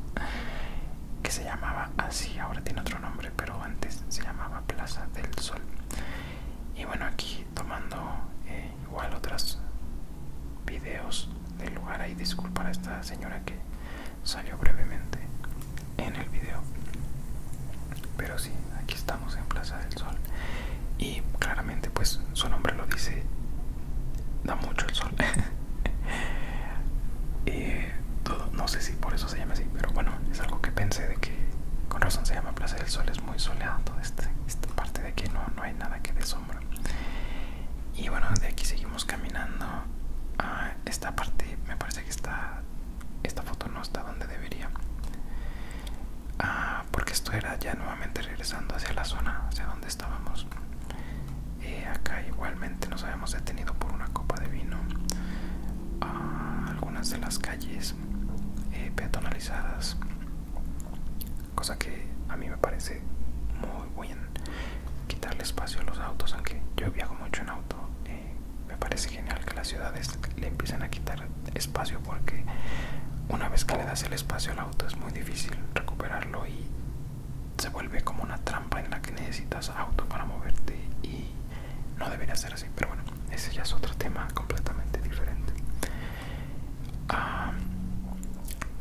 que se llamaba así, ahora tiene otro nombre, pero antes se llamaba Plaza del Sol. Y bueno, aquí tomando eh, igual otras videos del lugar ahí disculpa a esta señora que salió brevemente en el video pero sí aquí estamos en plaza del sol y claramente pues su nombre lo dice da mucho el sol todo, no sé si por eso se llama así pero bueno es algo que pensé de que con razón se llama plaza del sol es muy soleado este, esta parte de aquí no, no hay nada que de sombra y bueno de aquí seguimos caminando a esta parte me parece que está esta foto no está donde debería ah, porque esto era ya nuevamente regresando hacia la zona hacia donde estábamos eh, acá igualmente nos habíamos detenido por una copa de vino A ah, algunas de las calles eh, peatonalizadas cosa que a mí me parece muy buen quitarle espacio a los autos aunque yo viajo mucho en auto eh, me parece genial que las ciudades le empiecen a quitar espacio porque una vez que le das el espacio al auto es muy difícil recuperarlo y se vuelve como una trampa en la que necesitas auto para moverte y no debería ser así pero bueno ese ya es otro tema completamente diferente Ah,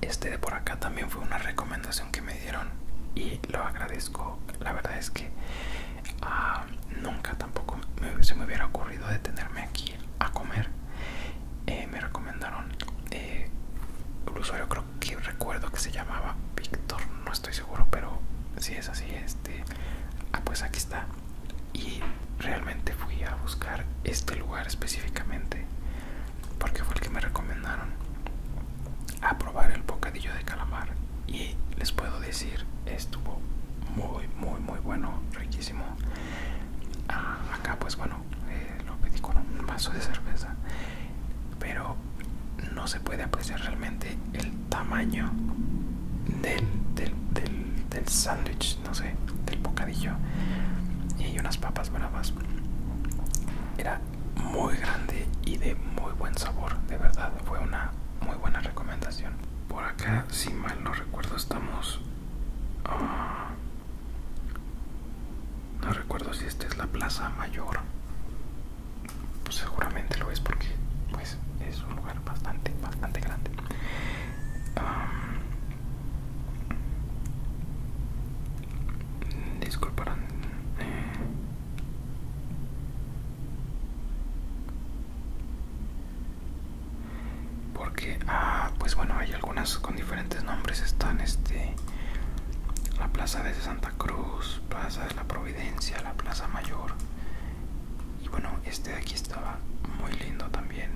este de por acá también fue una recomendación que me dieron y lo agradezco. La verdad es que ah, nunca tampoco se me hubiera ocurrido detenerme aquí a comer. Eh, me recomendaron eh, el usuario, creo que recuerdo que se llamaba Víctor, no estoy seguro, pero si es así, este, ah, pues aquí está y realmente fui a buscar este lugar específicamente porque fue el que me recomendaron a probar el bocadillo de calamar y les puedo decir estuvo muy muy muy bueno riquísimo ah, acá pues bueno eh, lo pedí con un vaso de cerveza pero no se puede apreciar realmente el tamaño del, del, del, del sándwich no sé, del bocadillo y hay unas papas bravas. Era muy grande y de muy buen sabor, de verdad, fue una muy buena recomendación. Por acá, si mal no recuerdo, estamos... Ah, no recuerdo si esta es la Plaza Mayor. Pues seguramente lo es porque pues es un lugar bastante, bastante grande. Ah, Disculparán. Eh. Porque, ah, pues bueno, hay algunas con diferentes nombres. Están este la Plaza de Santa Cruz, Plaza de la Providencia, la Plaza Mayor. Y bueno, este de aquí estaba muy lindo también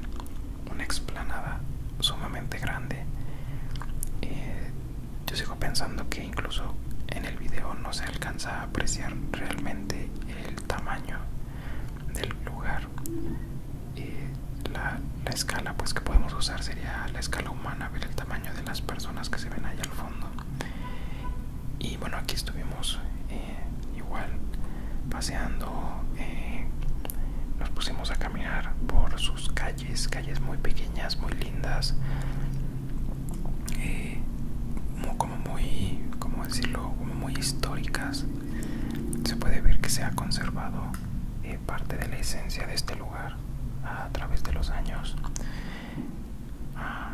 una explanada sumamente grande. Eh, yo sigo pensando que incluso en el video no se alcanza a apreciar realmente el tamaño del lugar. Eh, la, escala pues que podemos usar sería la escala humana, ver el tamaño de las personas que se ven ahí al fondo. Y bueno, aquí estuvimos eh, igual paseando eh, nos pusimos a caminar por sus calles calles muy pequeñas muy lindas eh, como muy como decirlo muy históricas se puede ver que se ha conservado eh, parte de la esencia de este lugar a través de los años ah,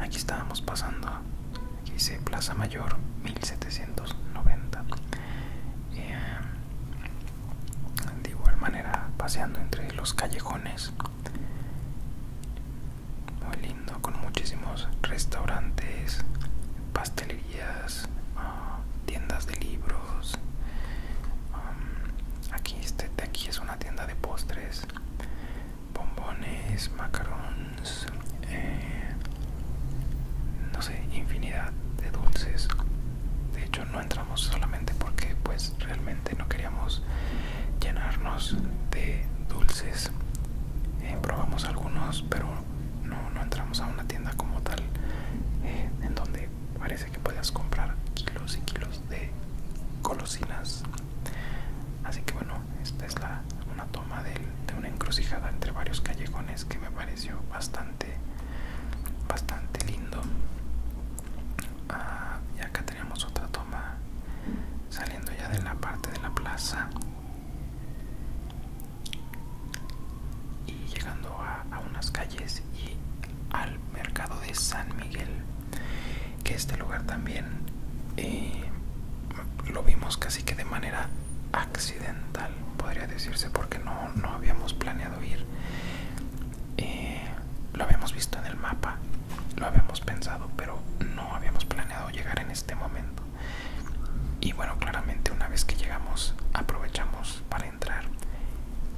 aquí estábamos pasando aquí dice Plaza Mayor 1790. Eh, de igual manera, paseando entre los callejones, muy lindo, con muchísimos restaurantes, pastelerías, ah, tiendas de libros. Ah, aquí este aquí es una tienda de postres, bombones, macarón eh, no sé, infinidad de dulces. De hecho no entramos solamente porque pues realmente no queríamos llenarnos de dulces. Eh, probamos algunos, pero no, entramos a una tienda como tal, eh, en donde parece que podías comprar kilos y kilos de colosinas Así que bueno, esta es la, una toma de, una encrucijada entre varios callejones que me pareció bastante, bastante lindo. Ya ah, y acá tenemos otra toma saliendo ya de la parte de la plaza y llegando a, unas calles y al mercado de San Miguel que este lugar también eh, lo vimos casi que de manera accidental, podría decirse, porque no, no habíamos planeado ir. Eh, lo habíamos visto en el mapa, lo habíamos pensado, pero no habíamos planeado llegar en este momento. Y bueno, claramente una vez que llegamos aprovechamos para entrar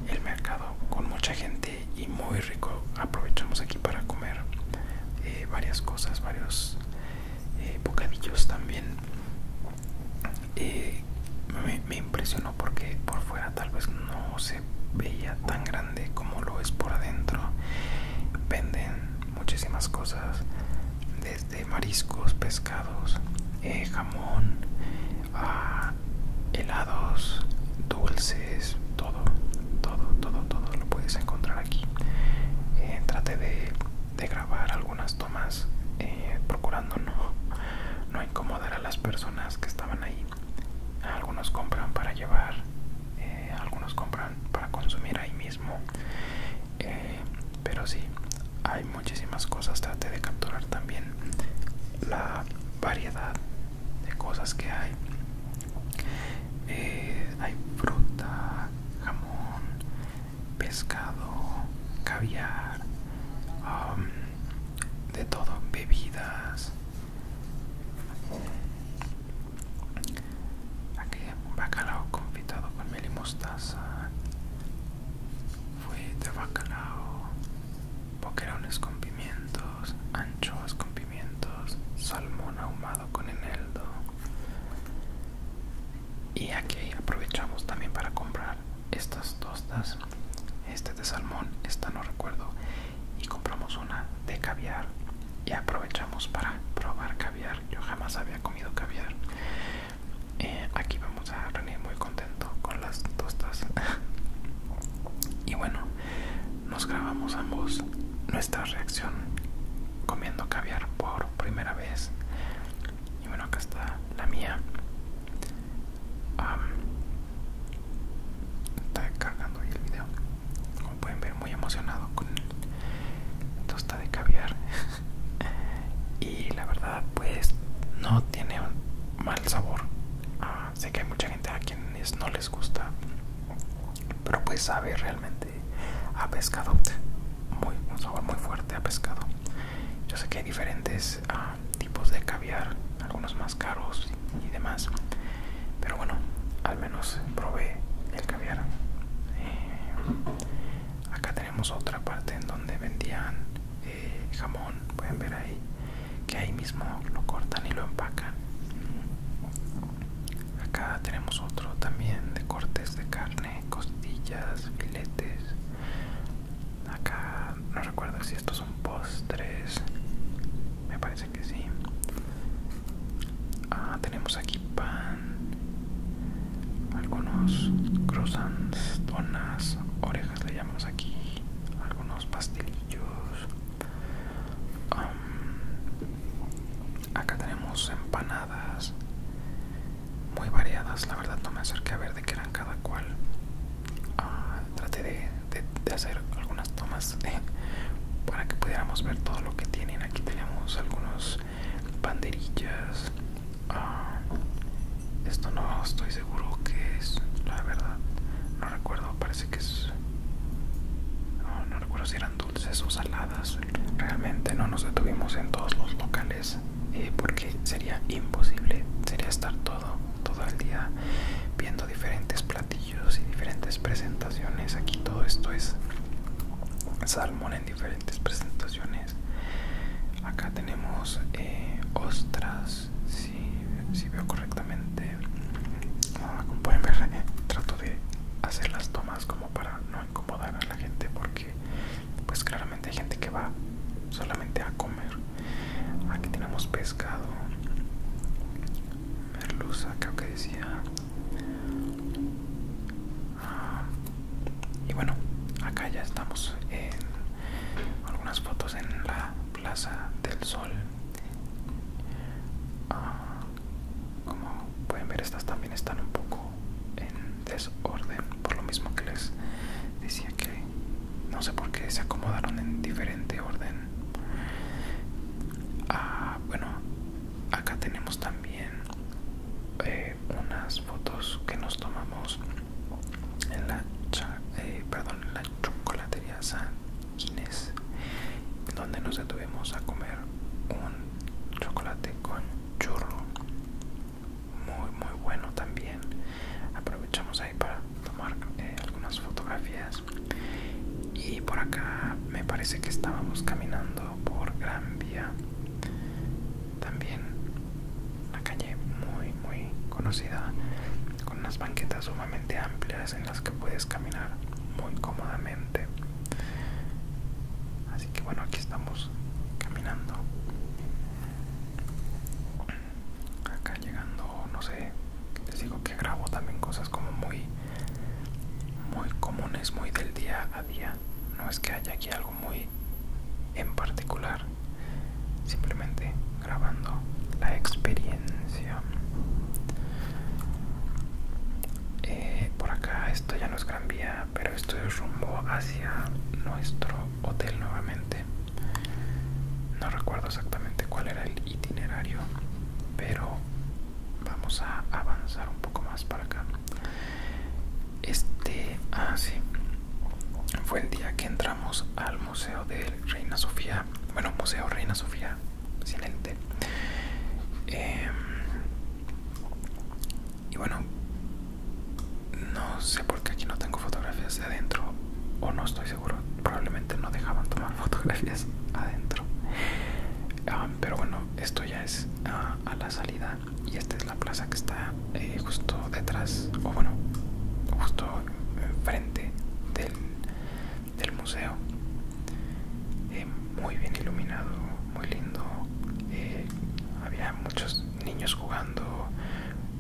el mercado con mucha gente y muy rico. Aprovechamos aquí para comer eh, varias cosas, varios eh, bocadillos también eh, me, impresionó porque por fuera tal vez no se veía tan grande como lo es por adentro venden muchísimas cosas desde mariscos pescados eh, jamón helados dulces todo todo todo todo lo puedes encontrar aquí trate de de grabar algunas tomas eh, procurando no, no incomodar a las personas que estaban ahí. Algunos compran para llevar, eh, algunos compran para consumir ahí mismo. Eh, pero sí, hay muchísimas cosas. Trate de capturar también la variedad de cosas que hay. hay fruta, jamón, pescado, caviar, um, de todo, bebidas. Aquí bacalao confitado con miel y mostaza, fuete de bacalao, boquerones con pimientos, anchoas con pimientos, salmón ahumado con eneldo, y aquí aprovechamos también para comprar estas tostas este de salmón esta no recuerdo y compramos una de caviar y aprovechamos para probar caviar yo jamás había comido caviar eh, aquí vamos a reunir muy contento con las tostas y bueno nos grabamos ambos nuestra reacción comiendo caviar por primera vez y bueno acá está la mía está cargando el video como pueden ver muy emocionado con tosta de caviar y la verdad pues no tiene un mal sabor ah, sé que hay mucha gente a quienes no les gusta pero pues sabe realmente a pescado, muy, un sabor muy fuerte a pescado. Yo sé que hay diferentes ah, tipos de caviar, algunos más caros y, demás, pero bueno, al menos probé el caviar. Eh, acá tenemos otra parte en donde vendían eh, jamón, pueden ver ahí que ahí mismo lo cortan y lo empacan. Acá tenemos otro también de cortes de carne, costillas, filetes. Acá no recuerdo si estos son postres. Me parece que sí. Ah, tenemos aquí pan. Algunos croissants, donas, orejas le llamamos aquí. Algunos pastelillos. acá tenemos empanadas muy variadas. La verdad no me acerqué a ver de qué eran cada cual. Ah, traté de, hacer algunas tomas eh, para que pudiéramos ver todo lo que tienen. Aquí tenemos algunos banderillas. Ah, esto no estoy seguro que es, la verdad. No recuerdo, parece que es... No, no recuerdo si eran dulces o saladas realmente no nos detuvimos en todos los locales eh, porque sería imposible sería estar todo todo el día viendo diferentes platillos y diferentes presentaciones aquí todo esto es salmón en diferentes presentaciones acá tenemos eh, ostras si, veo correctamente ah, como pueden ver trato de hacer las tomas como para no incomodar a la gente porque pues claramente hay gente que va solamente a comer aquí tenemos pescado merluza creo que decía ah, y bueno acá ya estamos en algunas fotos en la plaza del sol ah, como pueden ver estas también están un poco en desorden por lo mismo que les decía que no sé por qué se acomodaron en diferente orden ah, bueno acá tenemos también eh, unas fotos que nos tomamos en la eh, perdón en la chocolatería San donde nos detuvimos a comer un chocolate con churro muy muy bueno también aprovechamos ahí para tomar eh, algunas fotografías y por acá me parece que estábamos caminando por Gran Vía también una calle muy muy conocida con unas banquetas sumamente amplias en las que puedes caminar muy cómodamente así que bueno aquí estamos caminando acá llegando no sé les digo que grabo también cosas como muy muy comunes muy del día a día no es que haya aquí algo muy en particular simplemente grabando la experiencia eh, por acá esto ya no es gran vía pero esto es rumbo hacia nuestro hotel nuevamente no recuerdo exactamente cuál era el itinerario pero vamos a avanzar un poco más para acá este ah sí fue el día que entramos al museo de Reina Sofía bueno museo Reina Sofía excelente eh, em, y bueno, no sé por qué aquí no tengo fotografías de adentro, o no estoy seguro, probablemente no dejaban tomar fotografías adentro. Ah, pero bueno, esto ya es ah, a la salida y esta es la plaza que está eh, justo detrás, o bueno, justo enfrente eh, del, del museo. Eh, muy bien iluminado, muy lindo, eh, había muchos niños jugando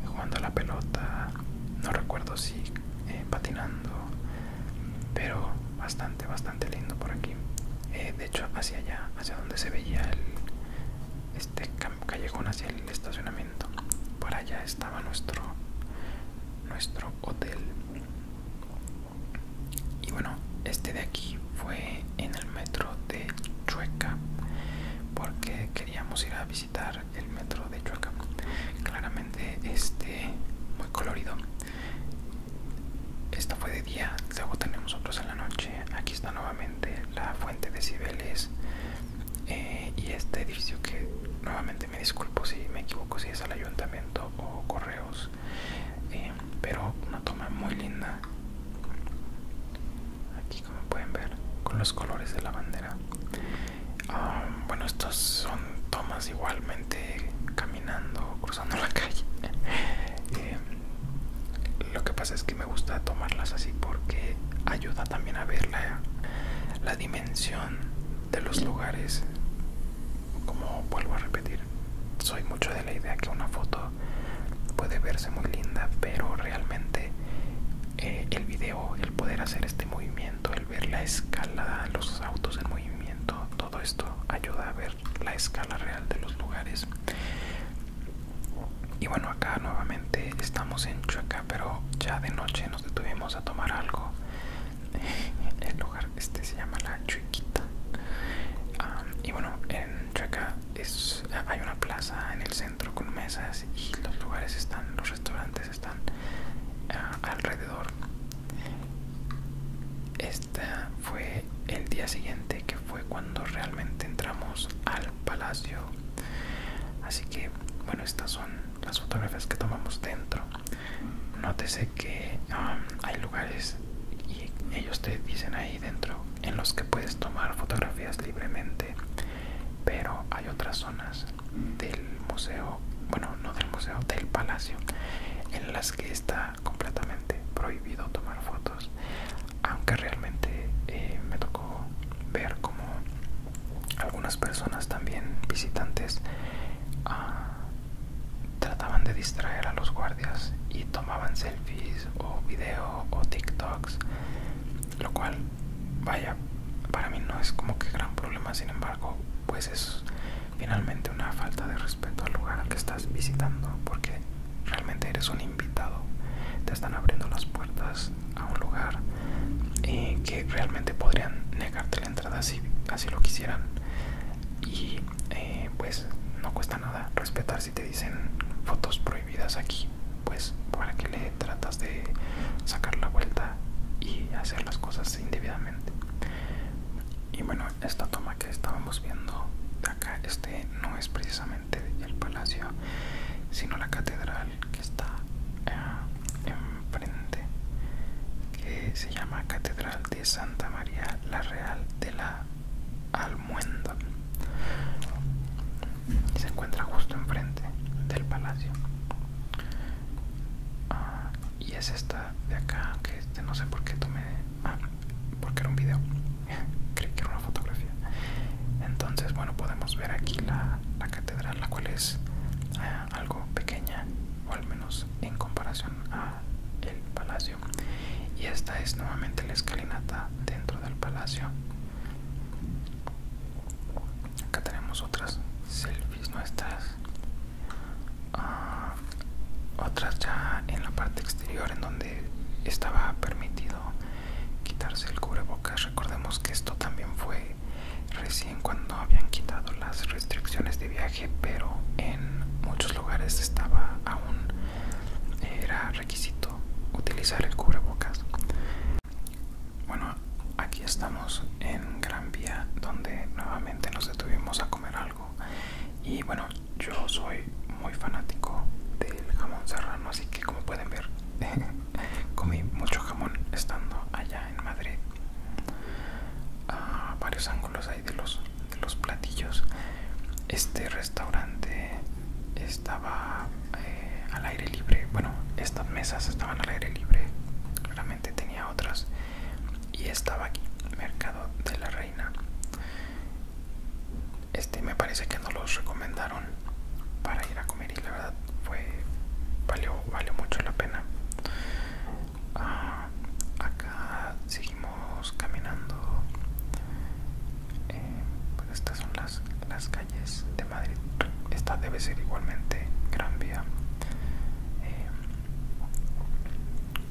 jugando a la pelota no recuerdo si eh, patinando pero bastante bastante lindo por aquí eh, de hecho hacia allá hacia donde se veía el este callejón hacia el estacionamiento por allá estaba nuestro nuestro hotel y bueno este de aquí fue en el metro de Chueca porque queríamos ir a visitar el metro de Chueca claramente este muy colorido esto fue de día luego tenemos otros en la noche aquí está nuevamente la fuente de Cibeles eh, y este edificio que nuevamente me disculpo si me equivoco si es al ayuntamiento o correos eh, pero una toma muy linda aquí como pueden ver con los colores de la bandera ah, bueno estas son tomas igualmente caminando cruzando la calle eh, lo que pasa es que me gusta tomarlas así porque ayuda también a ver la dimensión de los lugares como vuelvo a repetir soy mucho de la idea que una foto puede verse muy linda, pero realmente eh, el video, el poder hacer este movimiento, el ver la escala, los autos en movimiento, todo esto ayuda a ver la escala real de los lugares. Y bueno, acá nuevamente estamos en Chueca, pero ya de noche nos detuvimos a tomar algo. El lugar este se llama La Chuequita. Ah, y bueno, en Chueca es, hay una plaza en el centro con mesas y los lugares están, los restaurantes están ah, alrededor. Este fue el día siguiente que fue cuando realmente entramos al palacio. Así que, bueno, estas son las fotografías que tomamos dentro. Nótese que ah, hay lugares y ellos te dicen ahí dentro en los que puedes tomar fotografías libremente pero hay otras zonas del museo bueno no del museo del palacio en las que está completamente prohibido tomar fotos aunque realmente eh, me tocó ver como algunas personas también visitantes ah, trataban de distraer a los guardias y tomaban selfies o video o TikToks, lo cual, vaya, para mí no es como que gran problema, sin embargo, pues es finalmente una falta de respeto al lugar al que estás visitando, porque realmente eres un invitado, te están abriendo las puertas a un lugar eh, que realmente podrían negarte la entrada si así lo quisieran y eh, pues no cuesta nada respetar si te dicen fotos prohibidas aquí pues para que le tratas de sacar la vuelta y hacer las cosas indebidamente y bueno esta toma que estábamos viendo de acá este no es precisamente el palacio sino la catedral que está eh, enfrente que se llama catedral de santa maría la real de la Almuenda se encuentra justo enfrente del palacio ah, y es esta de acá que este, no sé por qué tomé ah, porque era un video creí que era una fotografía entonces bueno podemos ver aquí la, la catedral la cual es ah, algo pequeña o al menos en comparación a el palacio y esta es nuevamente la escalinata dentro del palacio acá tenemos otras selfies nuestras ah, otras ya en la parte exterior en donde estaba permitido quitarse el cubrebocas recordemos que esto también fue recién cuando habían quitado las restricciones de viaje pero en muchos lugares estaba aún era requisito utilizar el cubrebocas. Bueno, aquí estamos en Gran Vía donde nuevamente nos detuvimos a comer algo y bueno, yo soy muy fanático del jamón serrano, así que como pueden ver comí mucho jamón estando allá en Madrid a varios ángulos ahí de los los platillos este restaurante estaba eh, al aire libre bueno estas mesas estaban al aire libre claramente tenía otras y estaba aquí mercado de la reina este me parece que no los recomendaron para ir a comer y la verdad fue valió valió mucho la pena ah, acá seguimos caminando eh, pues estas son las, calles de Madrid esta debe ser igualmente Gran Vía eh,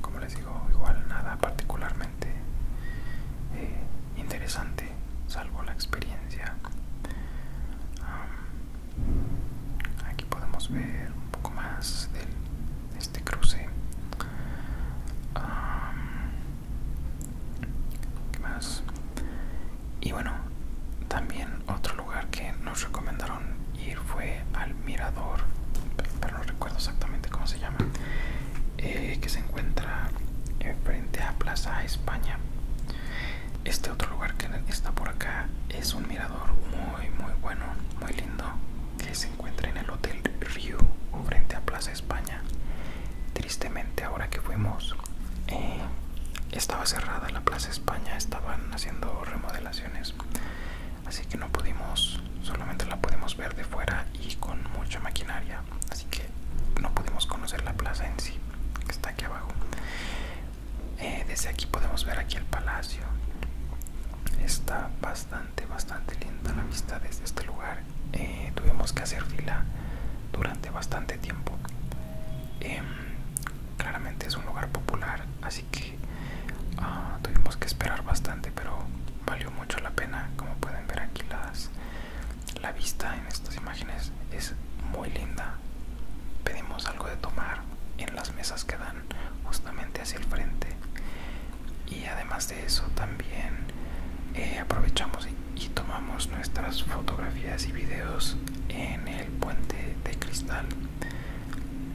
como les digo igual nada particularmente eh, interesante salvo la experiencia aquí podemos ver un poco más de este cruce y bueno, también otro lugar que nos recomendaron ir fue al mirador, pero no recuerdo exactamente cómo se llama, eh, que se encuentra eh, frente a Plaza España. Este otro lugar que está por acá es un mirador muy muy bueno, muy lindo, que se encuentra en el Hotel Rio frente a Plaza España. Tristemente ahora que fuimos eh, estaba cerrada la Plaza España, estaban haciendo remodelaciones, así que no pudimos, solamente la pudimos ver de fuera y con mucha maquinaria, así que no pudimos conocer la plaza en sí, que está aquí abajo. Eh, desde aquí podemos ver aquí el palacio. Está bastante bastante, linda la vista desde este lugar. Eh, tuvimos que hacer fila durante bastante tiempo. Em, claramente es un lugar popular, así que ah, tuvimos que esperar bastante, pero valió mucho la pena. Como pueden ver aquí las, la vista en estas imágenes es muy linda. Pedimos algo de tomar en las mesas que dan justamente hacia el frente y además de eso también eh, aprovechamos y, tomamos nuestras fotografías y videos en el puente de cristal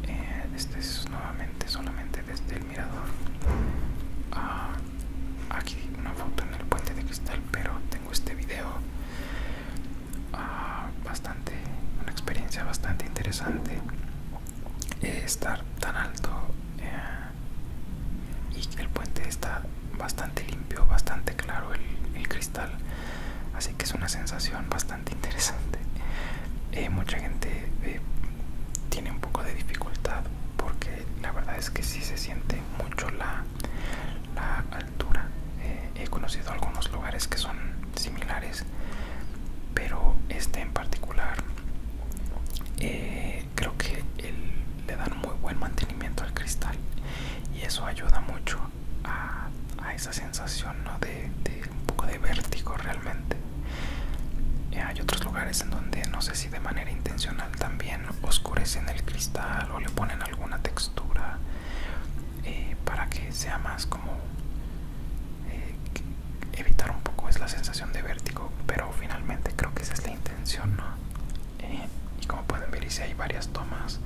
eh, este es nuevamente solamente desde el mirador ah, aquí una foto en el puente de cristal pero tengo este video ah, bastante una experiencia bastante interesante eh, estar tan alto y el puente está bastante limpio bastante claro el, cristal así que es una sensación bastante interesante eh, mucha gente eh, tiene un poco de dificultad porque la verdad es que sí se siente mucho la, altura eh, he conocido algunos lugares que son similares pero este en particular eh, creo que le dan muy buen mantenimiento al cristal y eso ayuda mucho a, esa sensación de, un poco de vértigo realmente eh, hay otros lugares en donde no sé si de manera intencional también oscurecen el cristal o le ponen alguna textura eh, para que sea más como evitar un poco es la sensación de vértigo, pero finalmente creo que esa es la intención, eh, y como pueden ver, y si hay varias tomas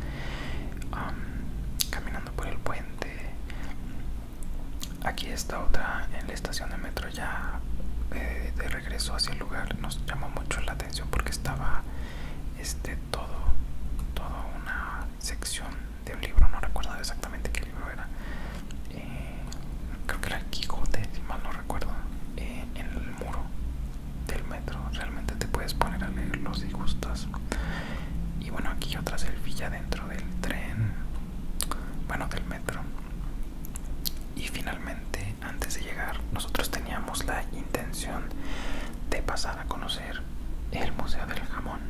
caminando por el puente. Aquí está otra en la estación de metro ya eh, de regreso hacia el lugar. Nos llamó mucho la atención porque estaba este todo, toda una sección de un libro. No recuerdo exactamente qué eh, creo que era el Quijote si mal no recuerdo eh, en el muro del metro realmente te puedes poner a leerlo si gustas y bueno aquí otra selfilla dentro del tren bueno del metro y finalmente antes de llegar nosotros teníamos la intención de pasar a conocer el museo del jamón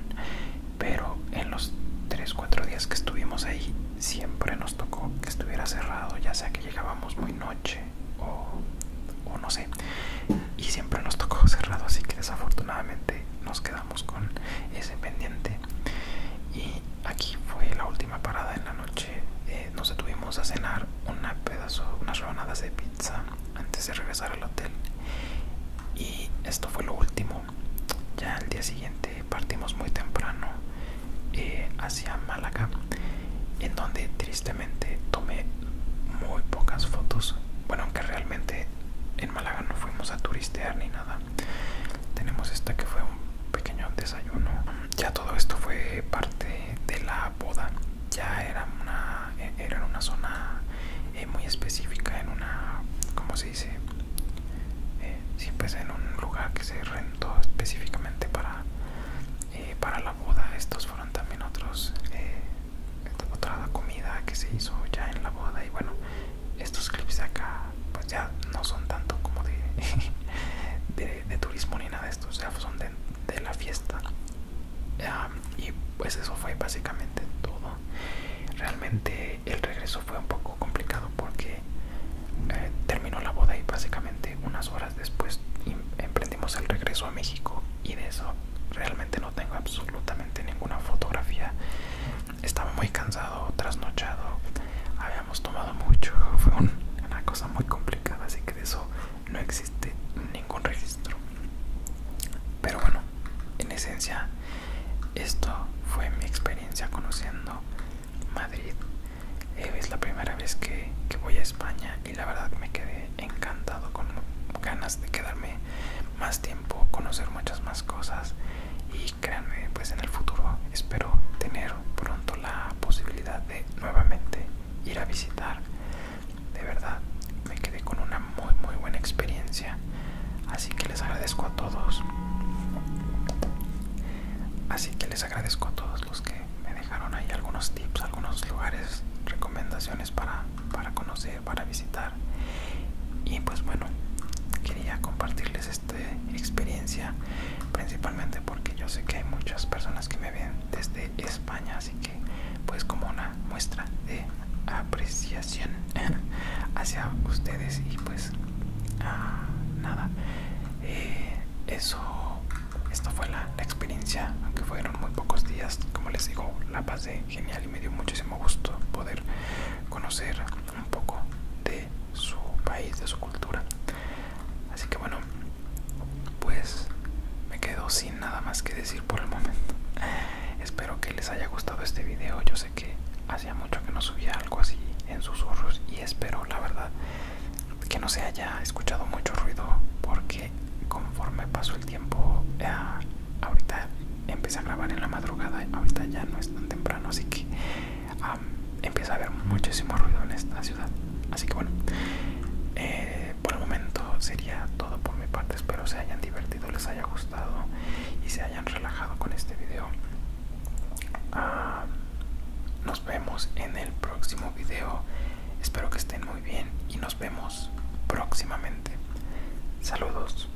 pero en los 3-4 días que estuvimos ahí siempre nos tocó que estuviera cerrado, ya sea que llegábamos muy noche o, no sé, y siempre nos tocó cerrado, así que desafortunadamente nos quedamos con ese pendiente. Y aquí fue la última parada en la noche. Eh, nos detuvimos a cenar pedazo, unas rebanadas de pizza antes de regresar al hotel. Y esto fue lo último ya el día siguiente partimos muy temprano eh, hacia Málaga, en donde tristemente tomé muy pocas fotos. Bueno, aunque realmente en Málaga no fuimos a turistear ni nada. Tenemos esta que fue un pequeño desayuno. Ya todo esto fue parte de la boda. Ya era una, e-, era una zona eh, muy específica, en una como Sí, sí, pues en un lugar que se rentó específicamente para eh, para la boda estos fueron también otros eh, otra comida que se hizo ya en la boda y bueno estos clips de acá pues ya no son tanto como de turismo ni nada de estos o son de, la fiesta ah, y pues eso fue básicamente todo realmente el regreso fue un poco complicado porque eh, terminó la boda y básicamente unas horas después emprendimos el regreso a México y de eso realmente no tengo absolutamente ninguna fotografía. Estaba muy cansado, trasnochado, habíamos tomado mucho, fue una cosa muy complicada, así que de eso no existe ningún registro. Pero bueno, en esencia, esto fue mi experiencia conociendo Madrid. Eh, es la primera vez que, que voy a España y la verdad me quedé encantado con ganas de quedarme más tiempo, conocer muchas más cosas y créanme, pues en el futuro espero tener pronto la posibilidad de nuevamente ir a visitar. De verdad, me quedé con una muy muy buena experiencia, así que les agradezco a todos Así que les agradezco a todos los que me dejaron ahí algunos tips, algunos lugares, recomendaciones para, para conocer, para visitar. Y pues bueno, quería compartirles esta experiencia principalmente porque yo sé que hay muchas personas que me ven desde España, así que pues como una muestra de apreciación hacia ustedes y pues Ah, nada eh, eso esta fue la, experiencia aunque fueron muy pocos días como les digo la pasé genial y me dio muchísimo gusto poder conocer un poco de su país de su cultura así que bueno pues me quedo sin nada más que decir por el momento espero que les haya gustado este video yo que hacía mucho que no subía algo así en susurros y espero la verdad que no se haya escuchado mucho ruido porque conforme pasó el tiempo eh, ahorita empecé a grabar en la madrugada ahorita ya no es tan temprano así que empieza a haber muchísimo ruido en esta ciudad así que bueno eh, por el momento sería todo por mi parte espero se hayan divertido les haya gustado y se hayan relajado con este video Ah, nos vemos en el próximo video. Espero que estén muy bien y nos vemos próximamente. Saludos.